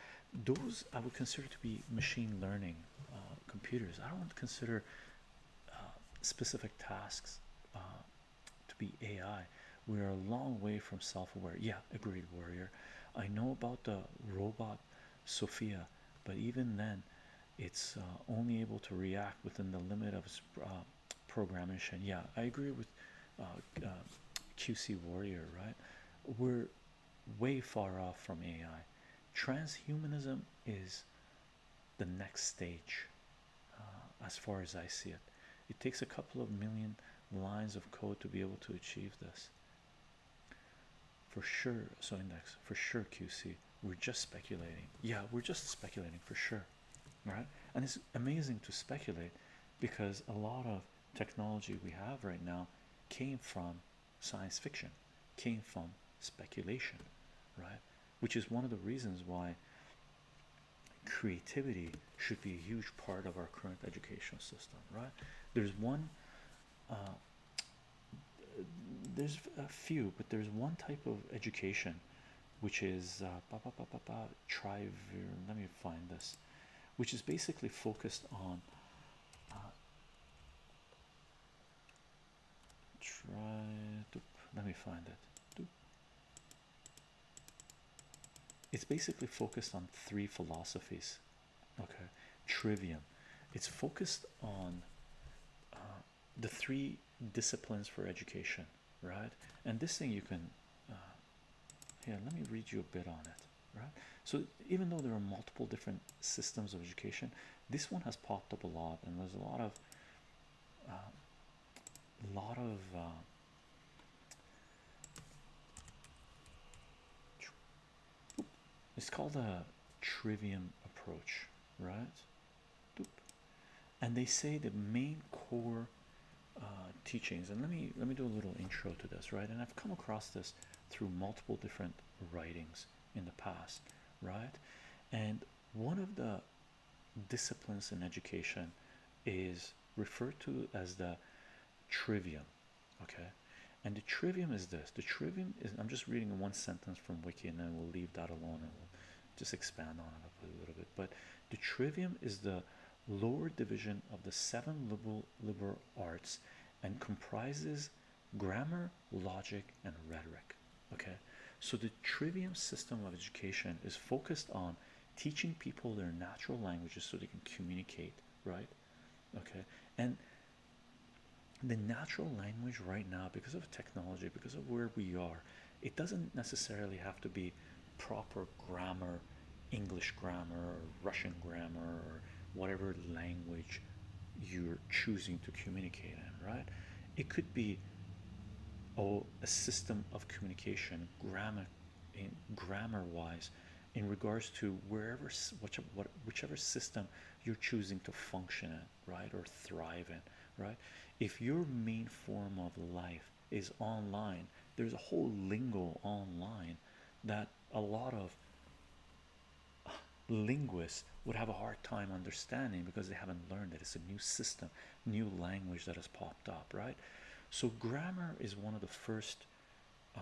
those i would consider to be machine learning uh, computers i don't want to consider uh, specific tasks to be AI. We are a long way from self-aware. Yeah, agreed, Warrior. I know about the robot Sophia, but even then, it's uh, only able to react within the limit of its programming. Uh, programmation. Yeah, I agree with uh, QC Warrior. Right, we're way far off from AI. Transhumanism is the next stage uh, as far as I see it. It takes a couple of million lines of code to be able to achieve this. For sure, so index for sure QC. We're just speculating. Yeah, we're just speculating for sure, right? And it's amazing to speculate because a lot of technology we have right now came from science fiction, came from speculation, right? Which is one of the reasons why creativity should be a huge part of our current educational system, right? There's one, uh, there's a few, but there's one type of education which is uh, bah, bah, bah, bah, bah, let me find this, which is basically focused on. Uh, try let me find it it's basically focused on three philosophies okay trivium it's focused on uh, the three disciplines for education right and this thing you can uh, here let me read you a bit on it right so even though there are multiple different systems of education this one has popped up a lot and there's a lot of uh, a lot of uh, it's called a trivium approach, right? And they say the main core uh, teachings. And let me let me do a little intro to this, right? And I've come across this through multiple different writings in the past, right? And one of the disciplines in education is referred to as the trivium okay and the trivium is this the trivium is i'm just reading one sentence from wiki and then we'll leave that alone and we'll just expand on it a little bit but the trivium is the lower division of the seven liberal liberal arts and comprises grammar logic and rhetoric okay so the trivium system of education is focused on teaching people their natural languages so they can communicate, right? Okay, and the natural language right now, because of technology, because of where we are, it doesn't necessarily have to be proper grammar, English grammar, or Russian grammar, or whatever language you're choosing to communicate in, right? It could be oh, a system of communication, grammar, in grammar wise in regards to wherever whichever, whichever system you're choosing to function in right or thrive in right if your main form of life is online there's a whole lingo online that a lot of linguists would have a hard time understanding because they haven't learned it it's a new system new language that has popped up right so, grammar is one of the first uh,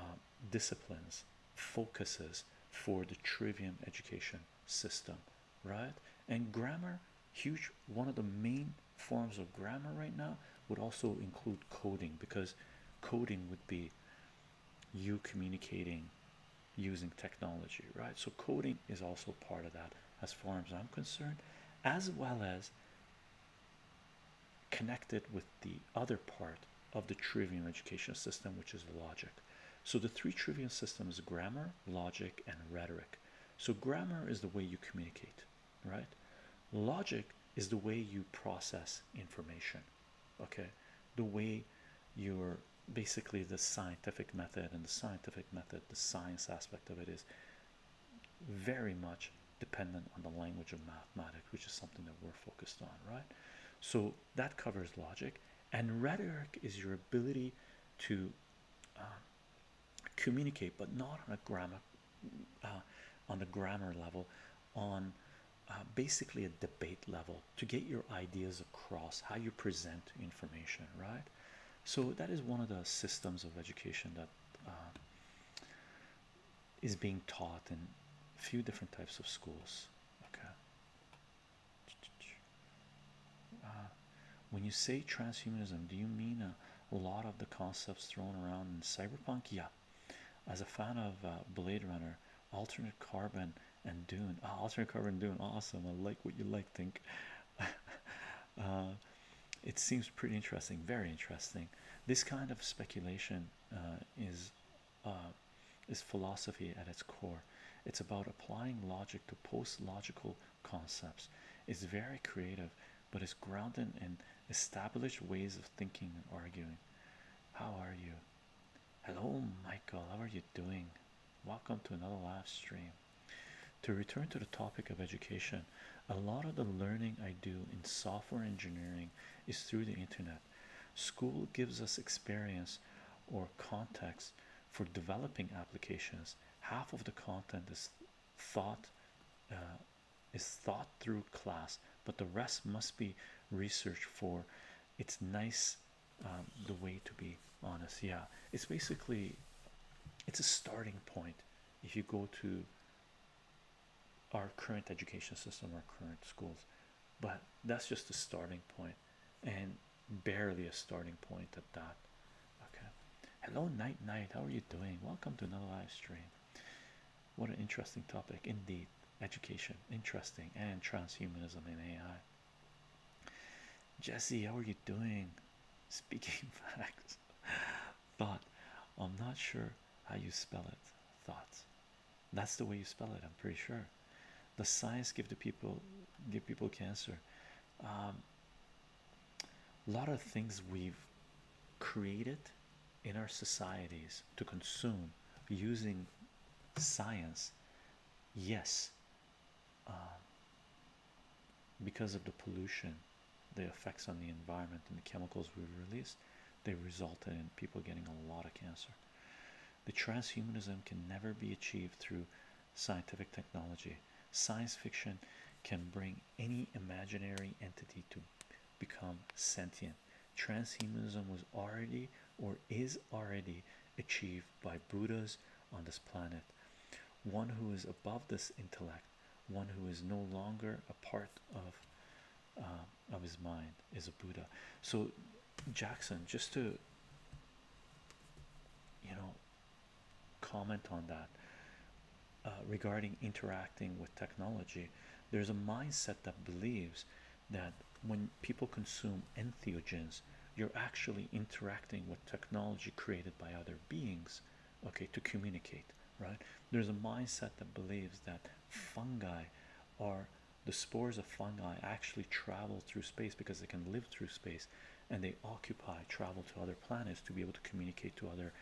disciplines, focuses for the trivium education system, right? And grammar, huge, one of the main forms of grammar right now would also include coding because coding would be you communicating using technology, right? So, coding is also part of that, as far as I'm concerned, as well as connected with the other part of the trivium education system, which is logic. So the three trivium systems grammar, logic, and rhetoric. So grammar is the way you communicate, right? Logic is the way you process information, okay? The way you're basically the scientific method and the scientific method, the science aspect of it is very much dependent on the language of mathematics, which is something that we're focused on, right? So that covers logic, and rhetoric is your ability to um, communicate, but not on a grammar, uh, on the grammar level, on uh, basically a debate level to get your ideas across, how you present information, right? So that is one of the systems of education that uh, is being taught in a few different types of schools. Okay. Uh, when you say transhumanism, do you mean a, lot of the concepts thrown around in cyberpunk? Yeah. As a fan of uh, Blade Runner, alternate carbon and Dune. Ah, alternate carbon Dune, awesome. I like what you like. Think. Uh, it seems pretty interesting, very interesting. This kind of speculation uh, is uh, is philosophy at its core. It's about applying logic to post-logical concepts. It's very creative, but it's grounded in established ways of thinking and arguing. How are you? Hello, Michael. How are you doing? Welcome to another live stream. To return to the topic of education, a lot of the learning I do in software engineering is through the internet. School gives us experience or context for developing applications. Half of the content is thought uh, is thought through class, but the rest must be researched for. It's nice um, the way to be honest. Yeah, it's basically it's a starting point if you go to our current education system, our current schools, but that's just a starting point and barely a starting point at that. Okay, hello, night night. How are you doing? Welcome to another live stream. What an interesting topic, indeed. Education, interesting, and transhumanism in AI. Jesse, how are you doing? Speaking facts, but I'm not sure how you spell it thoughts that's the way you spell it i'm pretty sure the science give the people give people cancer a um, lot of things we've created in our societies to consume using science yes uh, because of the pollution the effects on the environment and the chemicals we release they resulted in people getting a lot of cancer. The transhumanism can never be achieved through scientific technology. Science fiction can bring any imaginary entity to become sentient. Transhumanism was already or is already achieved by Buddhas on this planet. One who is above this intellect, one who is no longer a part of uh, of his mind is a Buddha. So Jackson, just to you know comment on that uh, regarding interacting with technology, there's a mindset that believes that when people consume entheogens, you're actually interacting with technology created by other beings, okay, to communicate right? There's a mindset that believes that fungi are the spores of fungi actually travel through space because they can live through space and they occupy travel to other planets to be able to communicate to other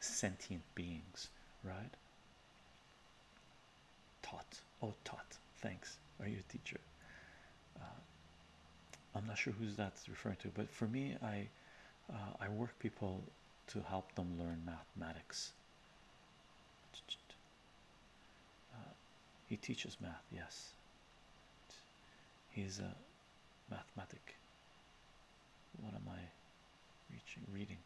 sentient beings, right? Tot, oh, Tot, thanks. Are you a teacher? Uh, I'm not sure who's that's referring to, but for me, I uh, I work people to help them learn mathematics uh, he teaches math, yes. He's a mathematic. What am I reaching? Reading.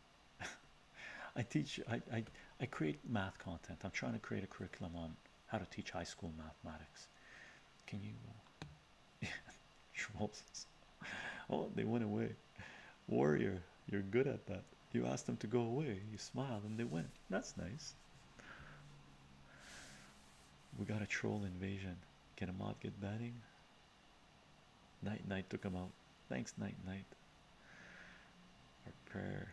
I teach. I, I I create math content. I'm trying to create a curriculum on how to teach high school mathematics. Can you? Uh, oh, they went away warrior you're good at that you asked them to go away you smiled and they went that's nice we got a troll invasion can a mod get banning Knight Knight took him out thanks Knight Knight. our prayer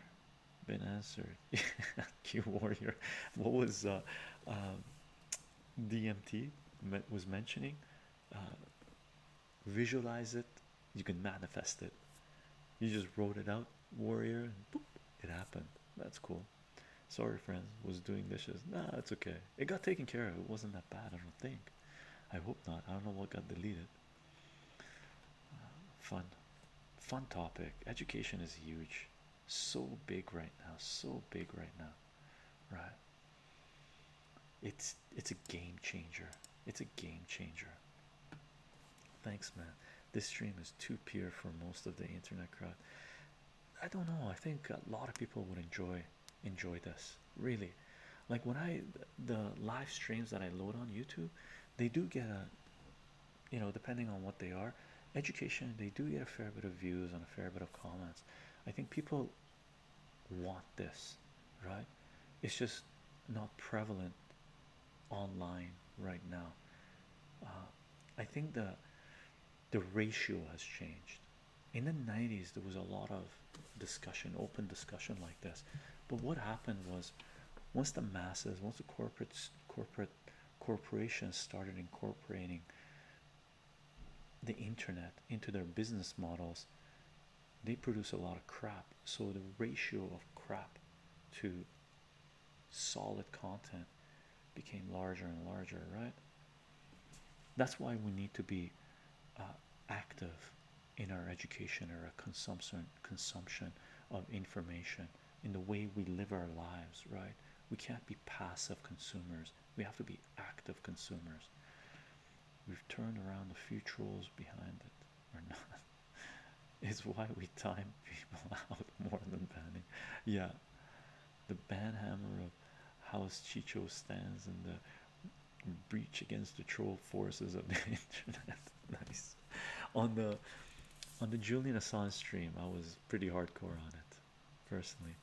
been answered q warrior what was uh, um, dmt was mentioning uh, visualize it, you can manifest it. You just wrote it out, warrior, boop, it happened. That's cool. Sorry, friends, was doing dishes. Nah, it's okay. It got taken care of. It wasn't that bad, I don't think. I hope not. I don't know what got deleted. Uh, fun, fun topic. Education is huge, so big right now, so big right now, right? It's it's a game changer. It's a game changer. Thanks, man. This stream is too pure for most of the internet crowd. I don't know. I think a lot of people would enjoy enjoy this. Really, like when I the live streams that I load on YouTube, they do get a you know depending on what they are, education. They do get a fair bit of views and a fair bit of comments. I think people want this, right? It's just not prevalent online right now. Uh, I think the the ratio has changed. In the 90s, there was a lot of discussion, open discussion like this. But what happened was, once the masses, once the corporates, corporate corporations started incorporating the internet into their business models, they produce a lot of crap so the ratio of crap to solid content became larger and larger right that's why we need to be uh, active in our education or a consumption consumption of information in the way we live our lives right we can't be passive consumers we have to be active consumers We've turned around a few trolls behind it, or not. it's why we time people out more than banning. Yeah, the ban hammer of House Chicho stands in the breach against the troll forces of the internet. nice. On the on the Julian Assange stream, I was pretty hardcore on it, personally.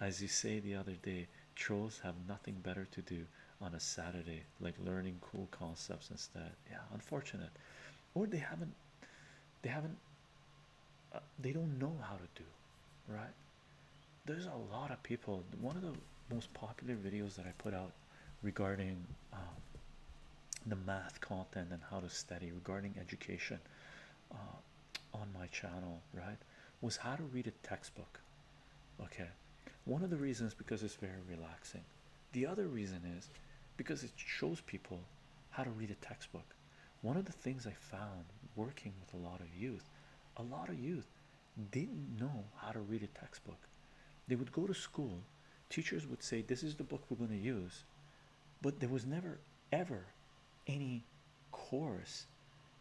As you say the other day, Trolls have nothing better to do on a Saturday, like learning cool concepts instead. Yeah, unfortunate, or they haven't, they haven't, uh, they don't know how to do, right? There's a lot of people. One of the most popular videos that I put out regarding um, the math content and how to study regarding education uh, on my channel, right, was how to read a textbook. Okay, one of the reasons because it's very relaxing. The other reason is because it shows people how to read a textbook. One of the things I found working with a lot of youth, a lot of youth didn't know how to read a textbook. They would go to school, teachers would say, This is the book we're going to use, but there was never ever any course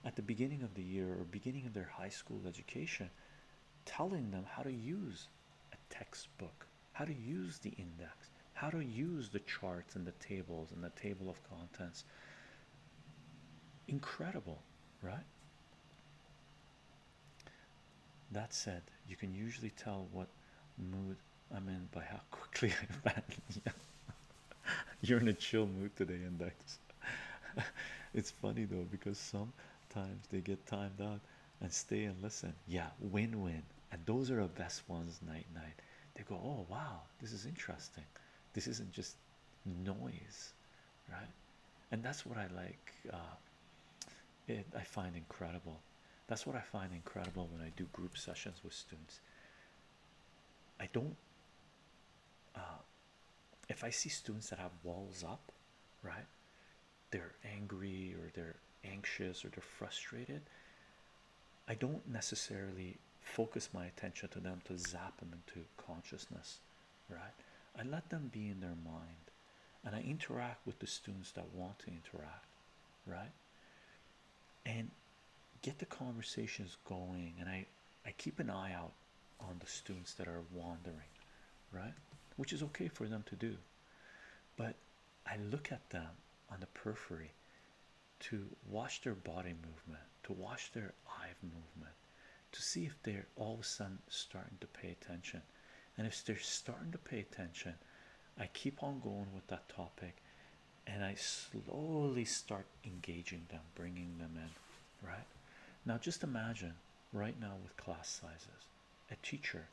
at the beginning of the year or beginning of their high school education telling them how to use a textbook, how to use the index, how to use the charts and the tables and the table of contents. Incredible, right? That said, you can usually tell what mood I'm in by how quickly I've You're in a chill mood today, Index. it's funny though, because some times they get timed out and stay and listen yeah win-win and those are the best ones night night they go oh wow this is interesting this isn't just noise right and that's what i like uh, it i find incredible that's what i find incredible when i do group sessions with students i don't uh, if I see students that have walls up, right, they're angry or they're anxious or they're frustrated, I don't necessarily focus my attention to them to zap them into consciousness, right? I let them be in their mind and I interact with the students that want to interact, right? And get the conversations going and I I keep an eye out on the students that are wandering, right? Which is okay for them to do, but I look at them on the periphery to watch their body movement, to watch their eye movement, to see if they're all of a sudden starting to pay attention. And if they're starting to pay attention, I keep on going with that topic and I slowly start engaging them, bringing them in, right? Now, just imagine right now with class sizes a teacher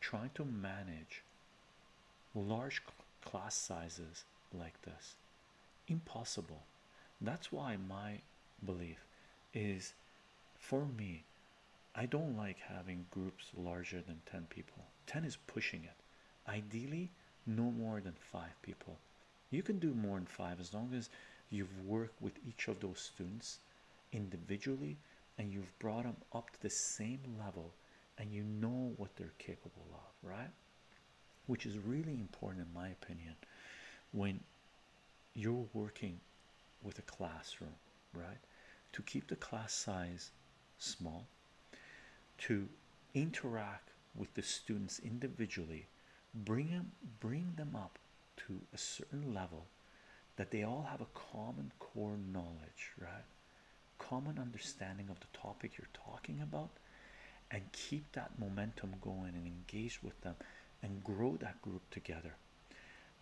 trying to manage large class sizes like this impossible that's why my belief is for me i don't like having groups larger than 10 people 10 is pushing it ideally no more than 5 people you can do more than 5 as long as you've worked with each of those students individually and you've brought them up to the same level and you know what they're capable of, right? Which is really important, in my opinion, when you're working with a classroom, right? To keep the class size small, to interact with the students individually, bring them, bring them up to a certain level that they all have a common core knowledge, right? Common understanding of the topic you're talking about, and keep that momentum going and engage with them and grow that group together.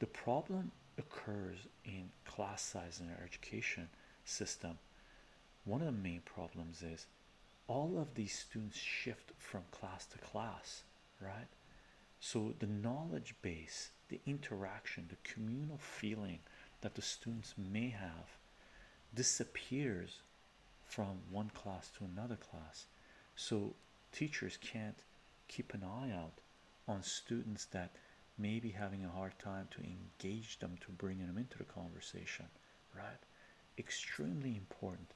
The problem occurs in class size in our education system. One of the main problems is all of these students shift from class to class right? So, the knowledge base, the interaction, the communal feeling that the students may have disappears from one class to another class. So, teachers can't keep an eye out on students that may be having a hard time to engage them to bring them into the conversation, right? Extremely important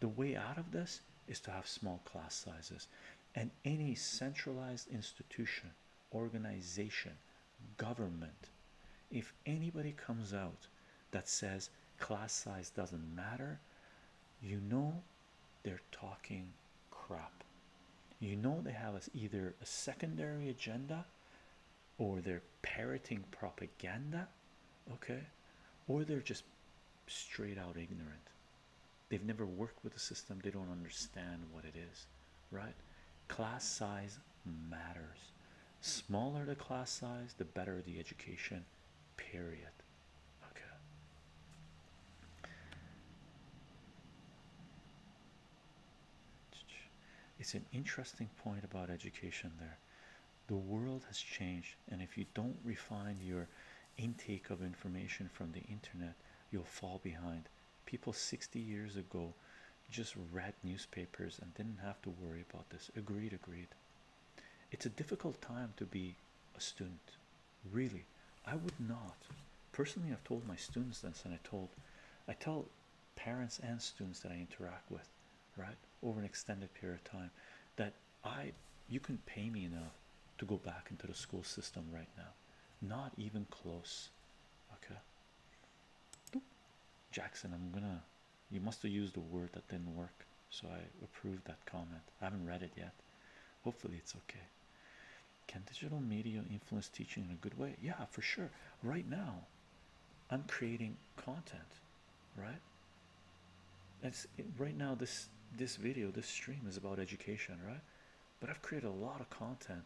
the way out of this is to have small class sizes and any centralized institution organization government if anybody comes out that says class size doesn't matter you know they're talking crap you know they have us either a secondary agenda or they're parroting propaganda okay or they're just straight out ignorant. They've never worked with the system, they don't understand what it is, right? Class size matters. Smaller the class size, the better the education, period. Okay. It's an interesting point about education there. The world has changed and if you don't refine your intake of information from the internet you'll fall behind people 60 years ago just read newspapers and didn't have to worry about this agreed agreed it's a difficult time to be a student really i would not personally i've told my students this and i told i tell parents and students that i interact with right over an extended period of time that I you can pay me enough to go back into the school system right now. Not even close. Okay. Jackson, I'm gonna you must have used a word that didn't work, so I approved that comment. I haven't read it yet. Hopefully it's okay. Can digital media influence teaching in a good way? Yeah, for sure. Right now, I'm creating content, right? That's right now. This this video, this stream is about education, right? But I've created a lot of content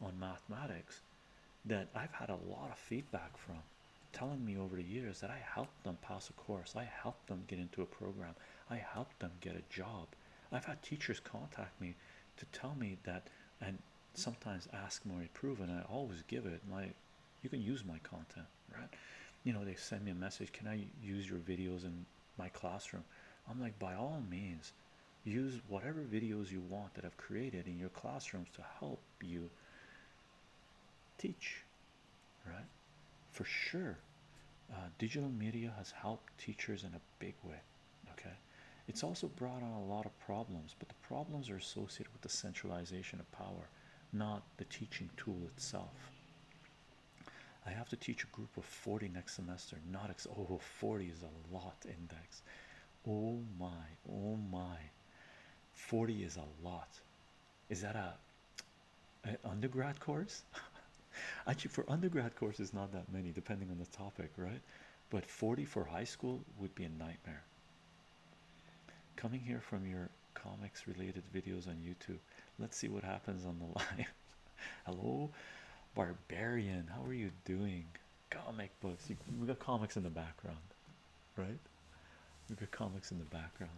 on mathematics that I've had a lot of feedback from telling me over the years that I helped them pass a course, I helped them get into a program, I helped them get a job. I've had teachers contact me to tell me that and sometimes ask more proof I always give it my you can use my content right? You know, they send me a message, Can I use your videos in my classroom? I'm like, By all means, use whatever videos you want that I've created in your classrooms to help you teach, right? For sure, uh, digital media has helped teachers in a big way, okay? It's also brought on a lot of problems, but the problems are associated with the centralization of power, not the teaching tool itself. I have to teach a group of 40 next semester, not ex oh, 40 is a lot index. Oh my, oh my, 40 is a lot. Is that a undergrad course? Actually, for undergrad course, it's not that many, depending on the topic, right? But 40 for high school would be a nightmare. Coming here from your comics related videos on YouTube Let's see what happens on the line. Hello, Barbarian. How are you doing? Comic books. we got comics in the background, right? We got comics in the background,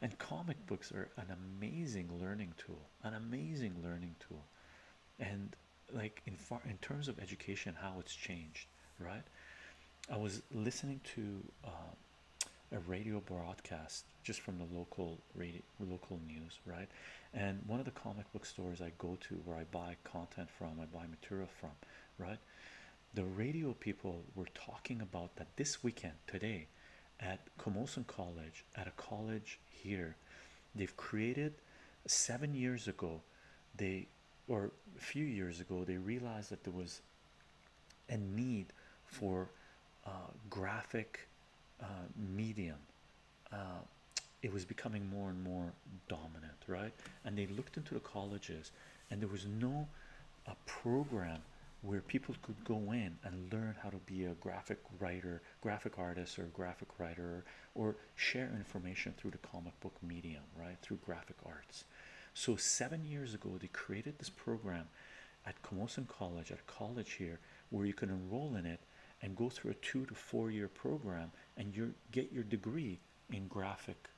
and comic books are an amazing learning tool. An amazing learning tool, and like in far in terms of education, how it's changed, right? I was listening to. Um, a radio broadcast just from the local radio local news right and one of the comic book stores i go to where i buy content from i buy material from right the radio people were talking about that this weekend today at Komoson College at a college here they've created seven years ago they or a few years ago they realized that there was a need for uh, graphic uh, medium uh, it was becoming more and more dominant right and they looked into the colleges and there was no a uh, program where people could go in and learn how to be a graphic writer graphic artist or graphic writer or share information through the comic book medium right through graphic arts so seven years ago they created this program at Camosun College at a college here where you can enroll in it and go through a two to four year program and you get your degree in graphic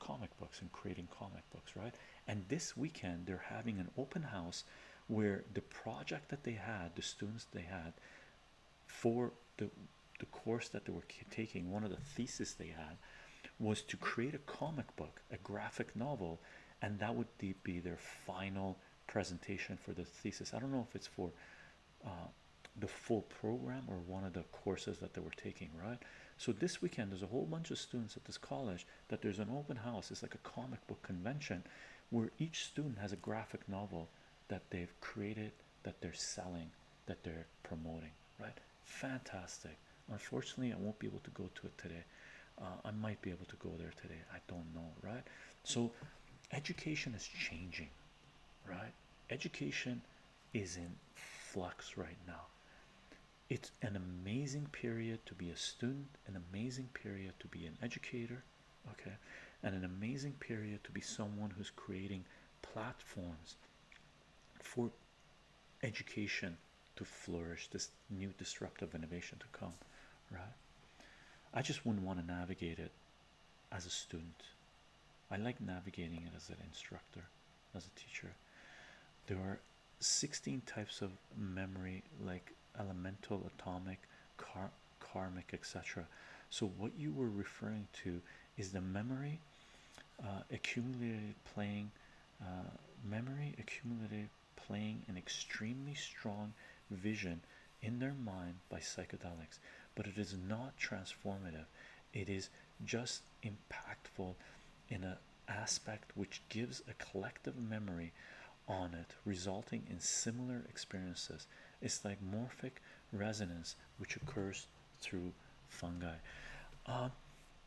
comic books and creating comic books right and this weekend they're having an open house where the project that they had the students they had for the the course that they were taking one of the theses they had was to create a comic book a graphic novel and that would be their final presentation for the thesis. I don't know if it's for uh, the full program or one of the courses that they were taking, right? So this weekend, there's a whole bunch of students at this college that there's an open house. It's like a comic book convention where each student has a graphic novel that they've created, that they're selling, that they're promoting, right? Fantastic. Unfortunately, I won't be able to go to it today. Uh, I might be able to go there today. I don't know, right? So, education is changing, right? Education is in flux right now. It's an amazing period to be a student, an amazing period to be an educator, okay, and an amazing period to be someone who's creating platforms for education to flourish this new disruptive innovation to come, right? I just wouldn't want to navigate it as a student. I like navigating it as an instructor, as a teacher. There are 16 types of memory, like elemental, atomic, car karmic, etc. So, what you were referring to is the memory uh, accumulated playing, uh, memory accumulated playing an extremely strong vision in their mind by psychedelics, but it is not transformative. It is just impactful in an aspect which gives a collective memory on it, resulting in similar experiences. It's like morphic resonance, which occurs through fungi. Uh,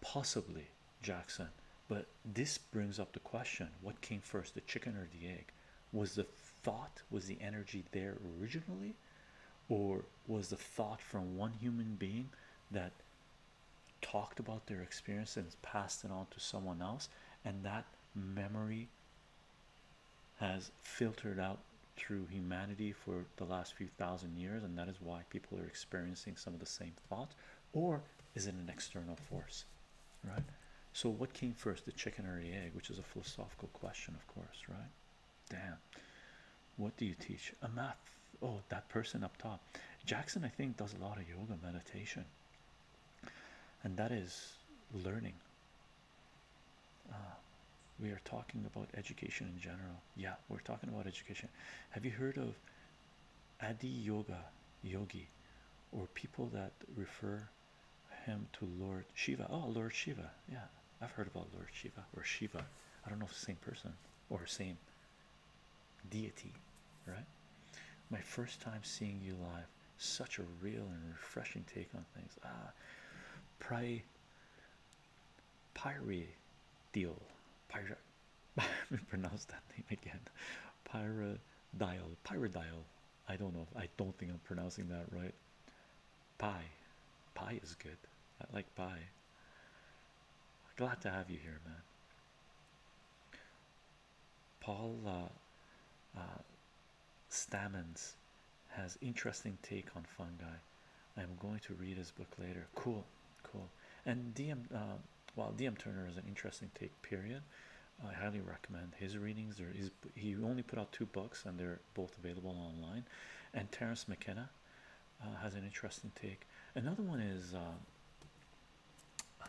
possibly Jackson, but this brings up the question what came first the chicken or the egg was the thought was the energy there originally or was the thought from one human being that talked about their experience and passed it on to someone else and that memory has filtered out through humanity for the last few thousand years and that is why people are experiencing some of the same thoughts or is it an external force right so what came first the chicken or the egg which is a philosophical question of course right damn what do you teach a math oh that person up top jackson i think does a lot of yoga meditation and that is learning uh, we are talking about education in general yeah we're talking about education have you heard of adi yoga yogi or people that refer him to Lord Shiva. Oh, Lord Shiva. Yeah, I've heard about Lord Shiva or Shiva. I don't know if same person or same deity, right? My first time seeing you live. Such a real and refreshing take on things. Ah, Pri Pyre Deal. Pyre. Let me pronounce that name again. Pyre Dial. Pyre Dial. I don't know. I don't think I'm pronouncing that right. Pie, pie is good. I like pie. Glad to have you here, man. Paul uh, uh, Stammens has interesting take on fungi. I'm going to read his book later. Cool, cool. And DM, uh, well, DM Turner is an interesting take period i highly recommend his readings there is he only put out two books and they're both available online and terence mckenna uh, has an interesting take another one is uh,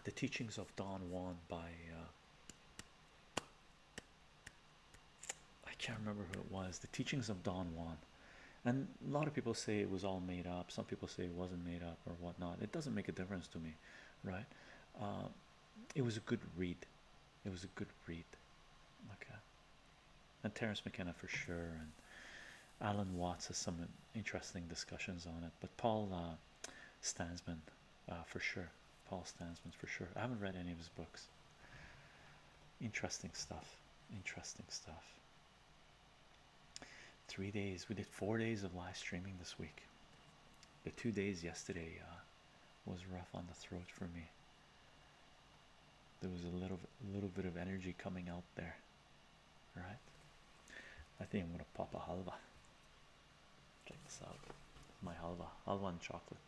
the teachings of don juan by uh, I can't remember who it was. The teachings of Don Juan, and a lot of people say it was all made up. Some people say it wasn't made up or whatnot. It doesn't make a difference to me, right? it was a good read. It was a good read. Okay. Uh, and Terence McKenna for sure, and Alan Watts has some interesting discussions on it. But Paul uh, Stansman, uh, for sure. Paul Stansman, for sure. I haven't read any of his books. Interesting stuff. Interesting stuff. Three days. We did four days of live streaming this week the two days yesterday uh, was rough on the throat for me. There was a little little bit of energy coming out there. All right. I think I'm gonna pop a halva. Check this out. My halva, halwan chocolate.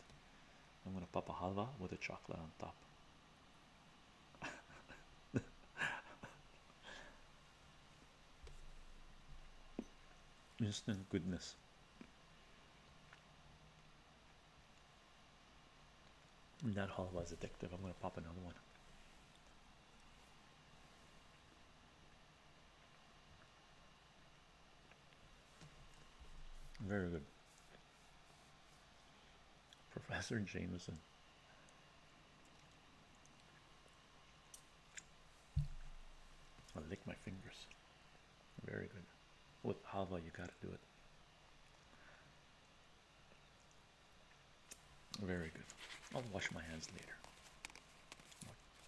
I'm gonna pop a halva with a chocolate on top. Instant goodness this. And that haul was addictive. I'm going to pop another one. Very good. Professor Jameson. I lick my fingers. Very good. With halva, you gotta do it. Very good. I'll wash my hands later.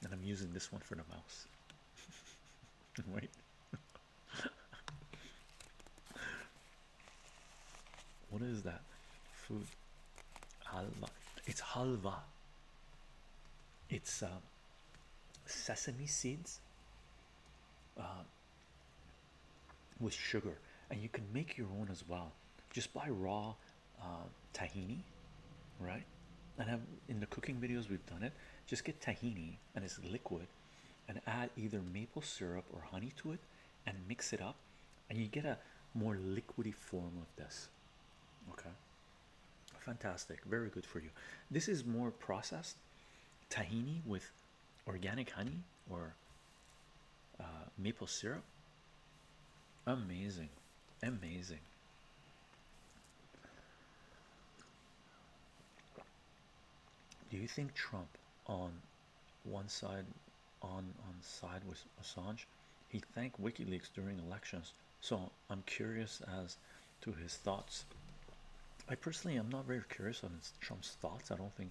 And I'm using this one for the mouse. Wait. what is that? Food. Halva. It's halva. It's um sesame seeds uh, with sugar, and you can make your own as well. Just buy raw uh, tahini, right? And I'm, in the cooking videos we've done it. Just get tahini, and it's liquid, and add either maple syrup or honey to it, and mix it up, and you get a more liquidy form of this. Okay. Fantastic, very good for you. This is more processed tahini with organic honey or uh, maple syrup. Amazing, amazing. Do you think Trump on one side on on side with Assange? He thanked WikiLeaks during elections, so I'm curious as to his thoughts. I personally am not very curious on Trump's thoughts. I don't think.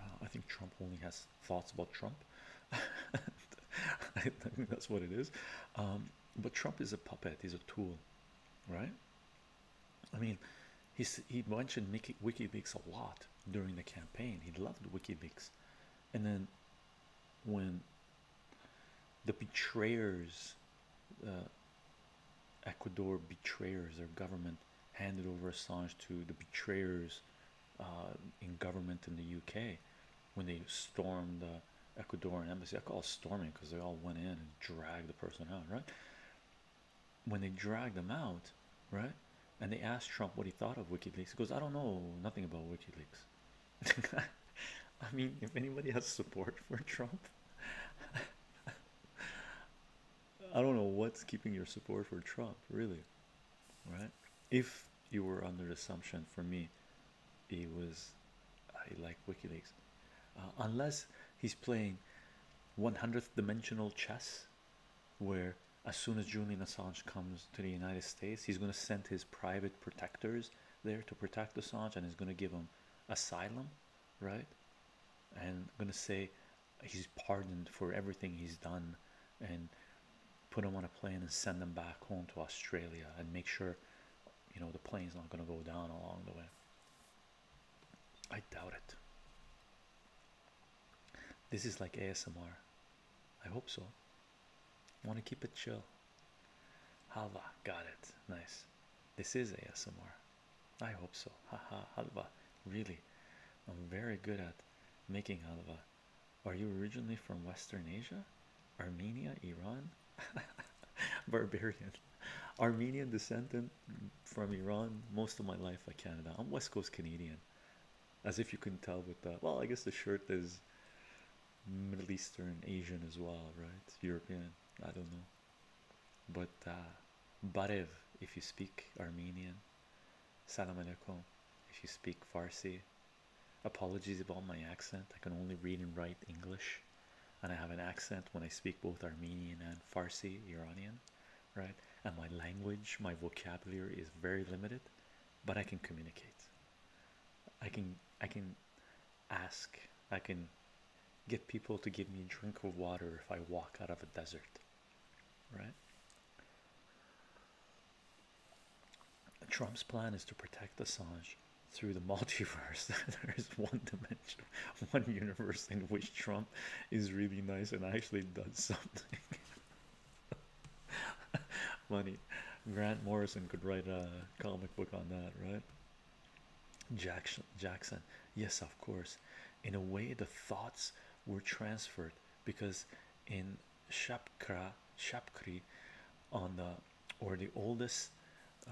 Uh, I think Trump only has thoughts about Trump. I think that's what it is. Um, but Trump is a puppet. He's a tool, right? I mean, he's, he mentioned WikiLeaks a lot during the campaign. He loved WikiLeaks, and then when the betrayers uh, ecuador betrayers their government handed over assange to the betrayers uh, in government in the uk when they stormed the uh, ecuadorian embassy i call it storming because they all went in and dragged the person out right when they dragged them out right and they asked trump what he thought of wikileaks he goes i don't know nothing about wikileaks I mean, if anybody has support for Trump, I don't know what's keeping your support for Trump, really. Right? If you were under assumption for me, he was, I like WikiLeaks, uh, unless he's playing 100th dimensional chess, where as soon as Julian Assange comes to the United States, he's going to send his private protectors there to protect Assange and is going to give him asylum, right? And going to say he's pardoned for everything he's done and put him on a plane and send them back home to Australia and make sure, you know, the plane's not going to go down along the way. I doubt it. This is like ASMR. I hope so. Want to keep it chill. Halva, got it. Nice. This is ASMR. I hope so. Haha, halva. Really, I'm very good at making halva. Are you originally from Western Asia? Armenia, Iran? Barbarian. Armenian descendant from Iran most of my life I Canada. I'm West Coast Canadian. As if you can tell with that. Well, I guess the shirt is Middle Eastern, Asian as well, right? European, I don't know. But uh, Barev, if you speak Armenian, Salam Alaikum, if you speak Farsi. Apologies about my accent, I can only read and write English, and I have an accent when I speak both Armenian and Farsi, Iranian, right? And my language, my vocabulary is very limited, but I can communicate. I can, I can ask i can get people to give me a drink of water if i walk out of a desert right trump's plan is to protect assange through the multiverse there is one dimension one universe in which trump is really nice and actually does something money grant morrison could write a comic book on that right Jackson Jackson yes of course in a way the thoughts were transferred because in Shapkra Shapkri on the or the oldest uh,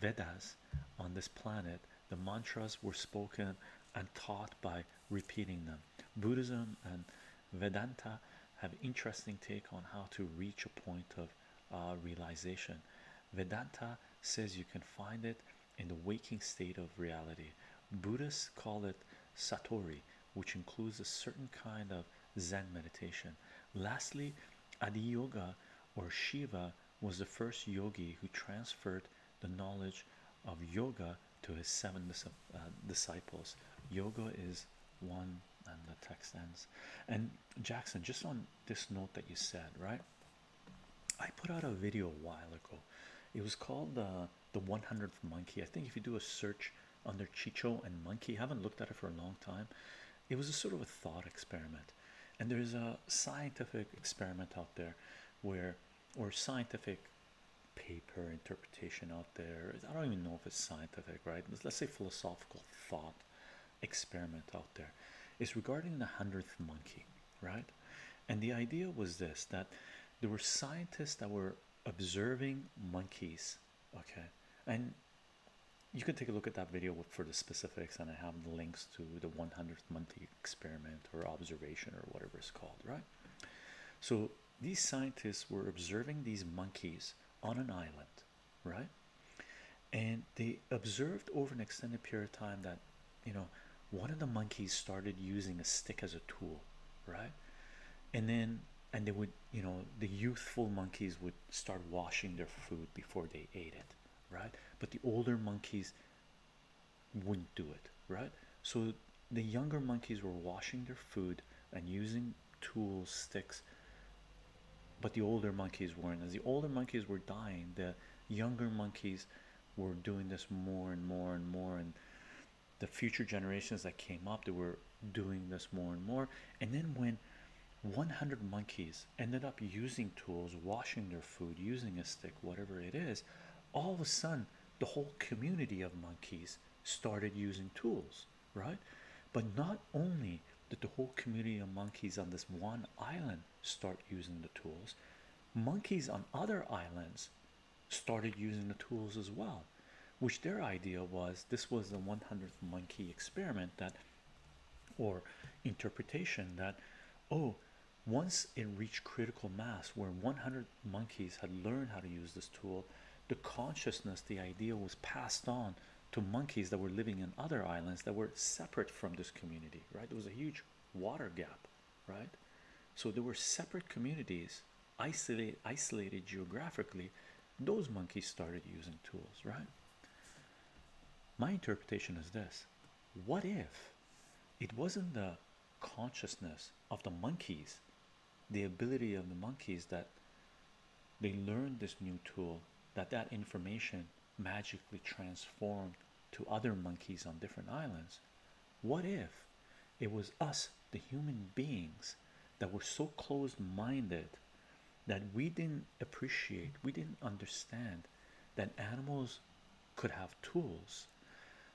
Vedas on this planet the mantras were spoken and taught by repeating them Buddhism and Vedanta have interesting take on how to reach a point of uh, realization. Vedanta says you can find it in the waking state of reality. Buddhists call it satori, which includes a certain kind of Zen meditation. Lastly, Adi Yoga or Shiva was the first yogi who transferred the knowledge of yoga to his seven uh, disciples. Yoga is one, and the text ends. And Jackson, just on this note that you said, right? I put out a video a while ago. It was called uh, the 100th Monkey. I think if you do a search under Chicho and Monkey, I haven't looked at it for a long time. It was a sort of a thought experiment, and there is a scientific experiment out there where, or scientific paper interpretation out there. I don't even know if it's scientific, right? Let's say philosophical thought experiment out there is regarding the hundredth monkey, right? And the idea was this that there were scientists that were observing monkeys, okay, and you can take a look at that video for the specifics, and I have the links to the 100th monkey experiment or observation or whatever it's called, right? So these scientists were observing these monkeys on an island right? And they observed over an extended period of time that you know one of the monkeys started using a stick as a tool, right? And then and they would you know the youthful monkeys would start washing their food before they ate it, right? But the older monkeys wouldn't do it, right? So the younger monkeys were washing their food and using tools, sticks but the older monkeys weren't. As the older monkeys were dying, the younger monkeys were doing this more and more and more. And the future generations that came up, they were doing this more and more. And then when 100 monkeys ended up using tools, washing their food, using a stick, whatever it is, all of a sudden the whole community of monkeys started using tools, right? But not only that the whole community of monkeys on this one island start using the tools? Monkeys on other islands started using the tools as well, which their idea was this was the 100th monkey experiment that or interpretation that oh once it reached critical mass where 100 monkeys had learned how to use this tool the consciousness the idea was passed on to monkeys that were living in other islands that were separate from this community, right? There was a huge water gap, right? So there were separate communities, isolated, isolated geographically. Those monkeys started using tools, right? My interpretation is this what if it wasn't the consciousness of the monkeys, the ability of the monkeys that they learned this new tool, that that information magically transformed to other monkeys on different islands what if it was us the human beings that were so closed-minded that we didn't appreciate we didn't understand that animals could have tools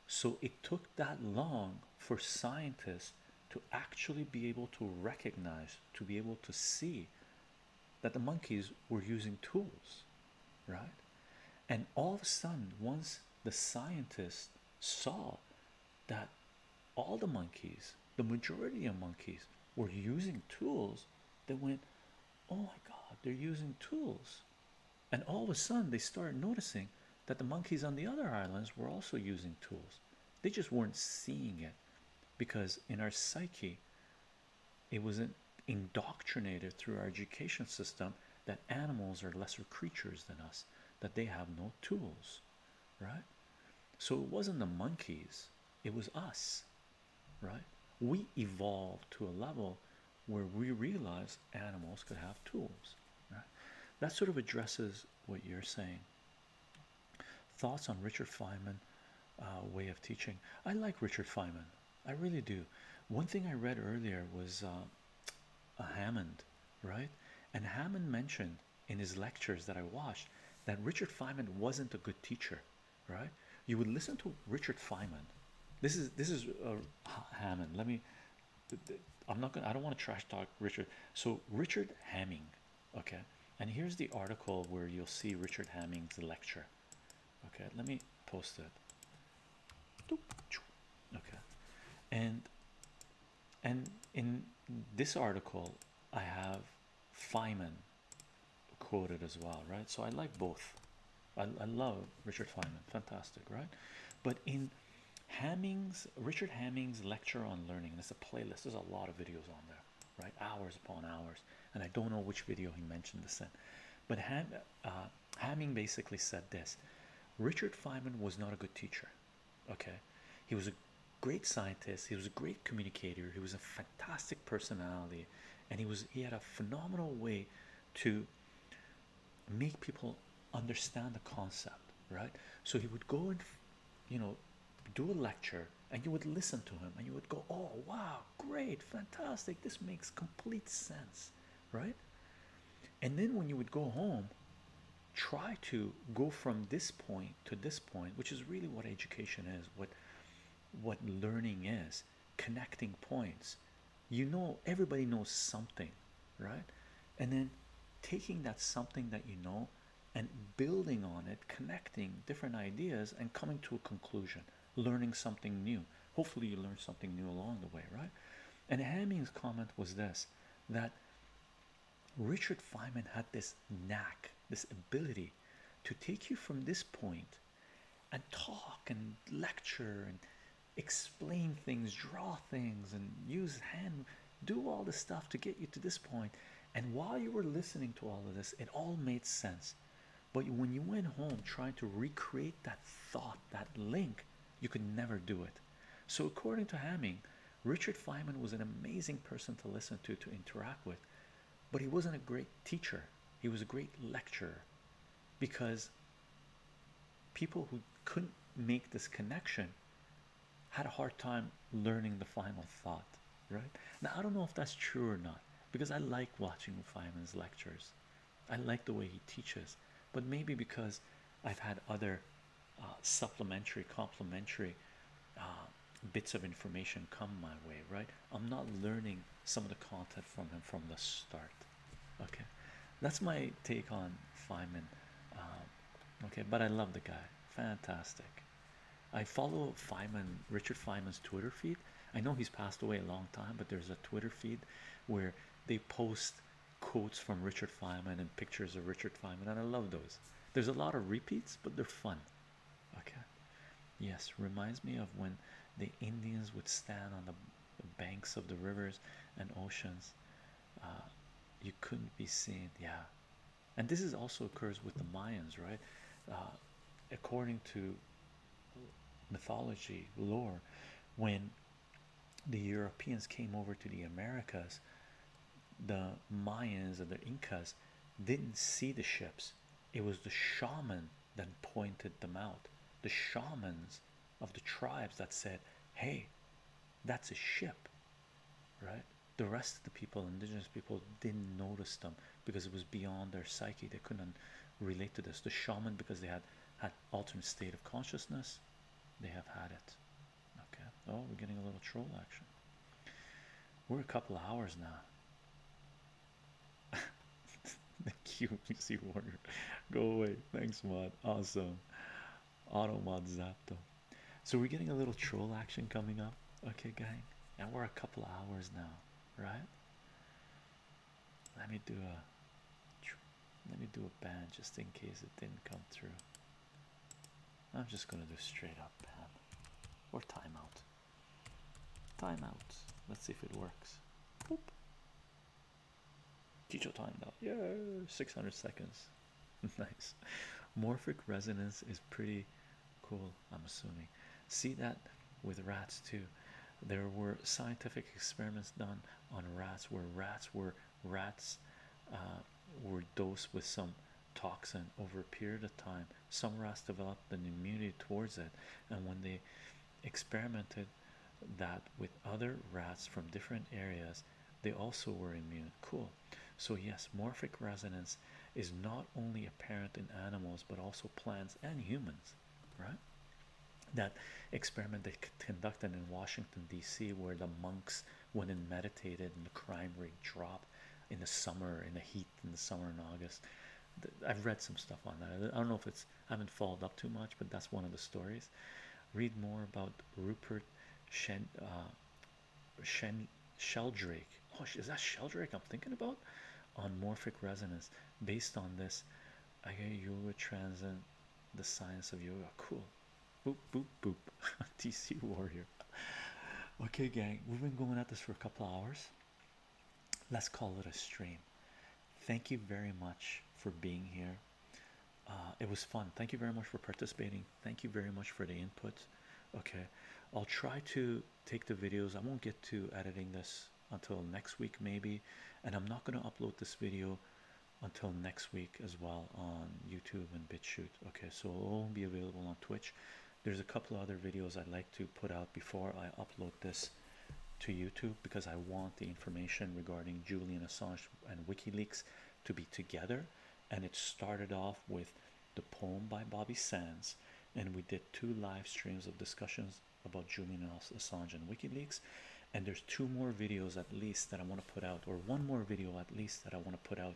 so it took that long for scientists to actually be able to recognize to be able to see that the monkeys were using tools, right? And all of a sudden, once the scientists saw that all the monkeys, the majority of monkeys, were using tools, they went, Oh my god, they're using tools. And all of a sudden, they started noticing that the monkeys on the other islands were also using tools. They just weren't seeing it because in our psyche, it was indoctrinated through our education system that animals are lesser creatures than us, that they have no tools, right? So it wasn't the monkeys, it was us, right? We evolved to a level where we realized animals could have tools, That sort of addresses what you're saying. Thoughts on Richard Feynman uh, way of teaching? I like Richard Feynman. I really do. One thing I read earlier was uh, a Hammond, right? And Hammond mentioned in his lectures that I watched that Richard Feynman wasn't a good teacher, right? You would listen to Richard Feynman. This is this is uh, Hammond. Let me. I'm not gonna. I don't want to trash talk Richard. So Richard Hamming, okay. And here's the article where you'll see Richard Hamming's lecture. Okay, let me post it. Okay, and and in this article, I have Feynman quoted as well, right? So I like both. I, I love Richard Feynman, fantastic, right? But in Hamming's Richard Hamming's lecture on learning, there's a playlist. There's a lot of videos on there right? Hours upon hours, and I don't know which video he mentioned this in, but uh, Hamming basically said this: Richard Feynman was not a good teacher. Okay, he was a great scientist. He was a great communicator. He was a fantastic personality, and he was he had a phenomenal way to make people understand the concept, right? So he would go and you know do a lecture and you would listen to him and you would go, Oh, wow, great, fantastic, this makes complete sense, right? And then when you would go home, try to go from this point to this point, which is really what education is, what what learning is, connecting points. You know, everybody knows something, right? And then taking that something that you know and building on it, connecting different ideas and coming to a conclusion learning something new. Hopefully, you learn something new along the way, right? And Hamming's comment was this that Richard Feynman had this knack, this ability to take you from this point and talk and lecture and explain things, draw things, and use hand, do all this stuff to get you to this point. And while you were listening to all of this, it all made sense. But when you went home trying to recreate that thought, that link, you could never do it. So, according to Hamming, Richard Feynman was an amazing person to listen to, to interact with, but he wasn't a great teacher. He was a great lecturer because people who couldn't make this connection had a hard time learning the final thought right now i don't know if that's true or not because i like watching feynman's lectures i like the way he teaches but maybe because i've had other uh, supplementary complementary uh, bits of information come my way right i'm not learning some of the content from him from the start okay that's my take on feynman um, okay but i love the guy fantastic i follow feynman richard feynman's twitter feed I know he's passed away a long time, but there's a Twitter feed where they post quotes from Richard Feynman and pictures of Richard Feynman, and I love those. There's a lot of repeats, but they're fun. Okay. Yes, reminds me of when the Indians would stand on the banks of the rivers and oceans. Uh, you couldn't be seen. Yeah. And this is also occurs with the Mayans, right? Uh, according to mythology lore when the Europeans came over to the Americas the Mayans and the Incas didn't see the ships it was the shamans that pointed them out the shamans of the tribes that said hey that's a ship right the rest of the people indigenous people didn't notice them because it was beyond their psyche they couldn't relate to this the shaman because they had had alternate state of consciousness they have had it okay oh we're getting a little troll action we're a couple hours now The you PC warrior go away thanks mod awesome auto mod zapto so we're getting a little troll action coming up okay gang and we're a couple hours now right let me do a let me do a ban just in case it didn't come through. I'm just gonna do straight up ban or timeout. Timeout. Let's see if it works. Boop. Chicho timed out. Yeah, 600 seconds. nice. Morphic resonance is pretty cool. I'm assuming. See that with rats too. There were scientific experiments done on rats where rats were rats uh, were dosed with some toxin over a period of time. Some rats developed an immunity towards it, and when they experimented that with other rats from different areas, they also were immune. Cool. So yes, morphic resonance is not only apparent in animals but also plants and humans right? That experiment they conducted in Washington, D.C., where the monks went and meditated and the crime rate dropped in the summer, in the heat, in the summer in August. I've read some stuff on that. I don't know if it's, I haven't followed up too much, but that's one of the stories. Read more about Rupert Shen, uh, Shen Sheldrake. Oh, is that Sheldrake I'm thinking about? on morphic resonance. Based on this, I get yoga transcend the science of yoga. Cool. Boop boop boop. TC warrior. Okay, gang, we've been going at this for a couple hours. Let's call it a stream. Thank you very much for being here. Uh, it was fun. Thank you very much for participating. Thank you very much for the input. Okay, I'll try to take the videos. I won't get to editing this until next week, maybe. And I'm not going to upload this video until next week as well on YouTube and BitChute. Okay, so it will be available on Twitch. There's a couple other videos I'd like to put out before I upload this to YouTube because I want the information regarding Julian Assange and WikiLeaks to be together. And it started off with the poem by Bobby Sands, and we did two live streams of discussions about Julian Assange and WikiLeaks, and there's two more videos at least that I want to put out, or one more video at least that I want to put out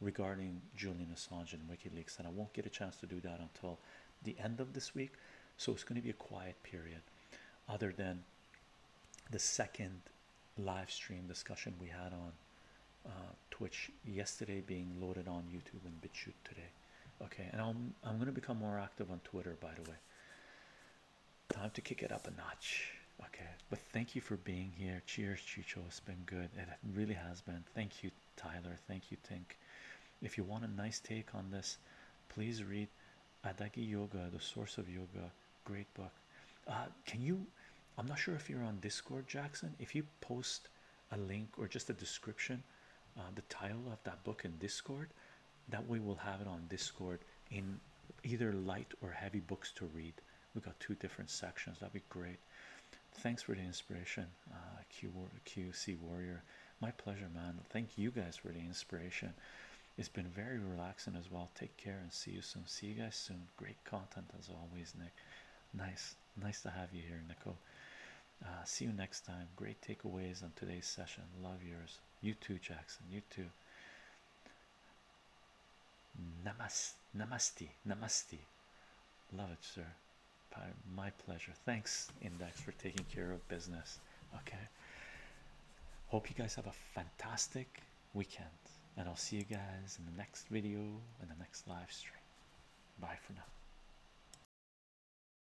regarding Julian Assange and WikiLeaks, and I won't get a chance to do that until the end of this week. So it's going to be a quiet period, other than the second live stream discussion we had on uh, Twitch yesterday being loaded on YouTube and BitChute today. Okay, and I'm I'm gonna become more active on Twitter by the way. Time to kick it up a notch. Okay, but thank you for being here. Cheers, Chicho. It's been good. It really has been. Thank you, Tyler. Thank you, Tink. If you want a nice take on this, please read Adagi Yoga, The Source of Yoga. Great book. Uh, can you? I'm not sure if you're on Discord, Jackson. If you post a link or just a description, uh, the title of that book in Discord, that way we'll have it on discord in either light or heavy books to read we got two different sections that'd be great thanks for the inspiration uh, qc warrior my pleasure man thank you guys for the inspiration it's been very relaxing as well take care and see you soon see you guys soon great content as always nick nice nice to have you here nico uh, see you next time. Great takeaways on today's session. Love yours. You too, Jackson. You too. Namaste. namaste. Namaste. Love it, sir. My pleasure. Thanks, Index, for taking care of business. Okay. Hope you guys have a fantastic weekend. And I'll see you guys in the next video in the next live stream. Bye for now.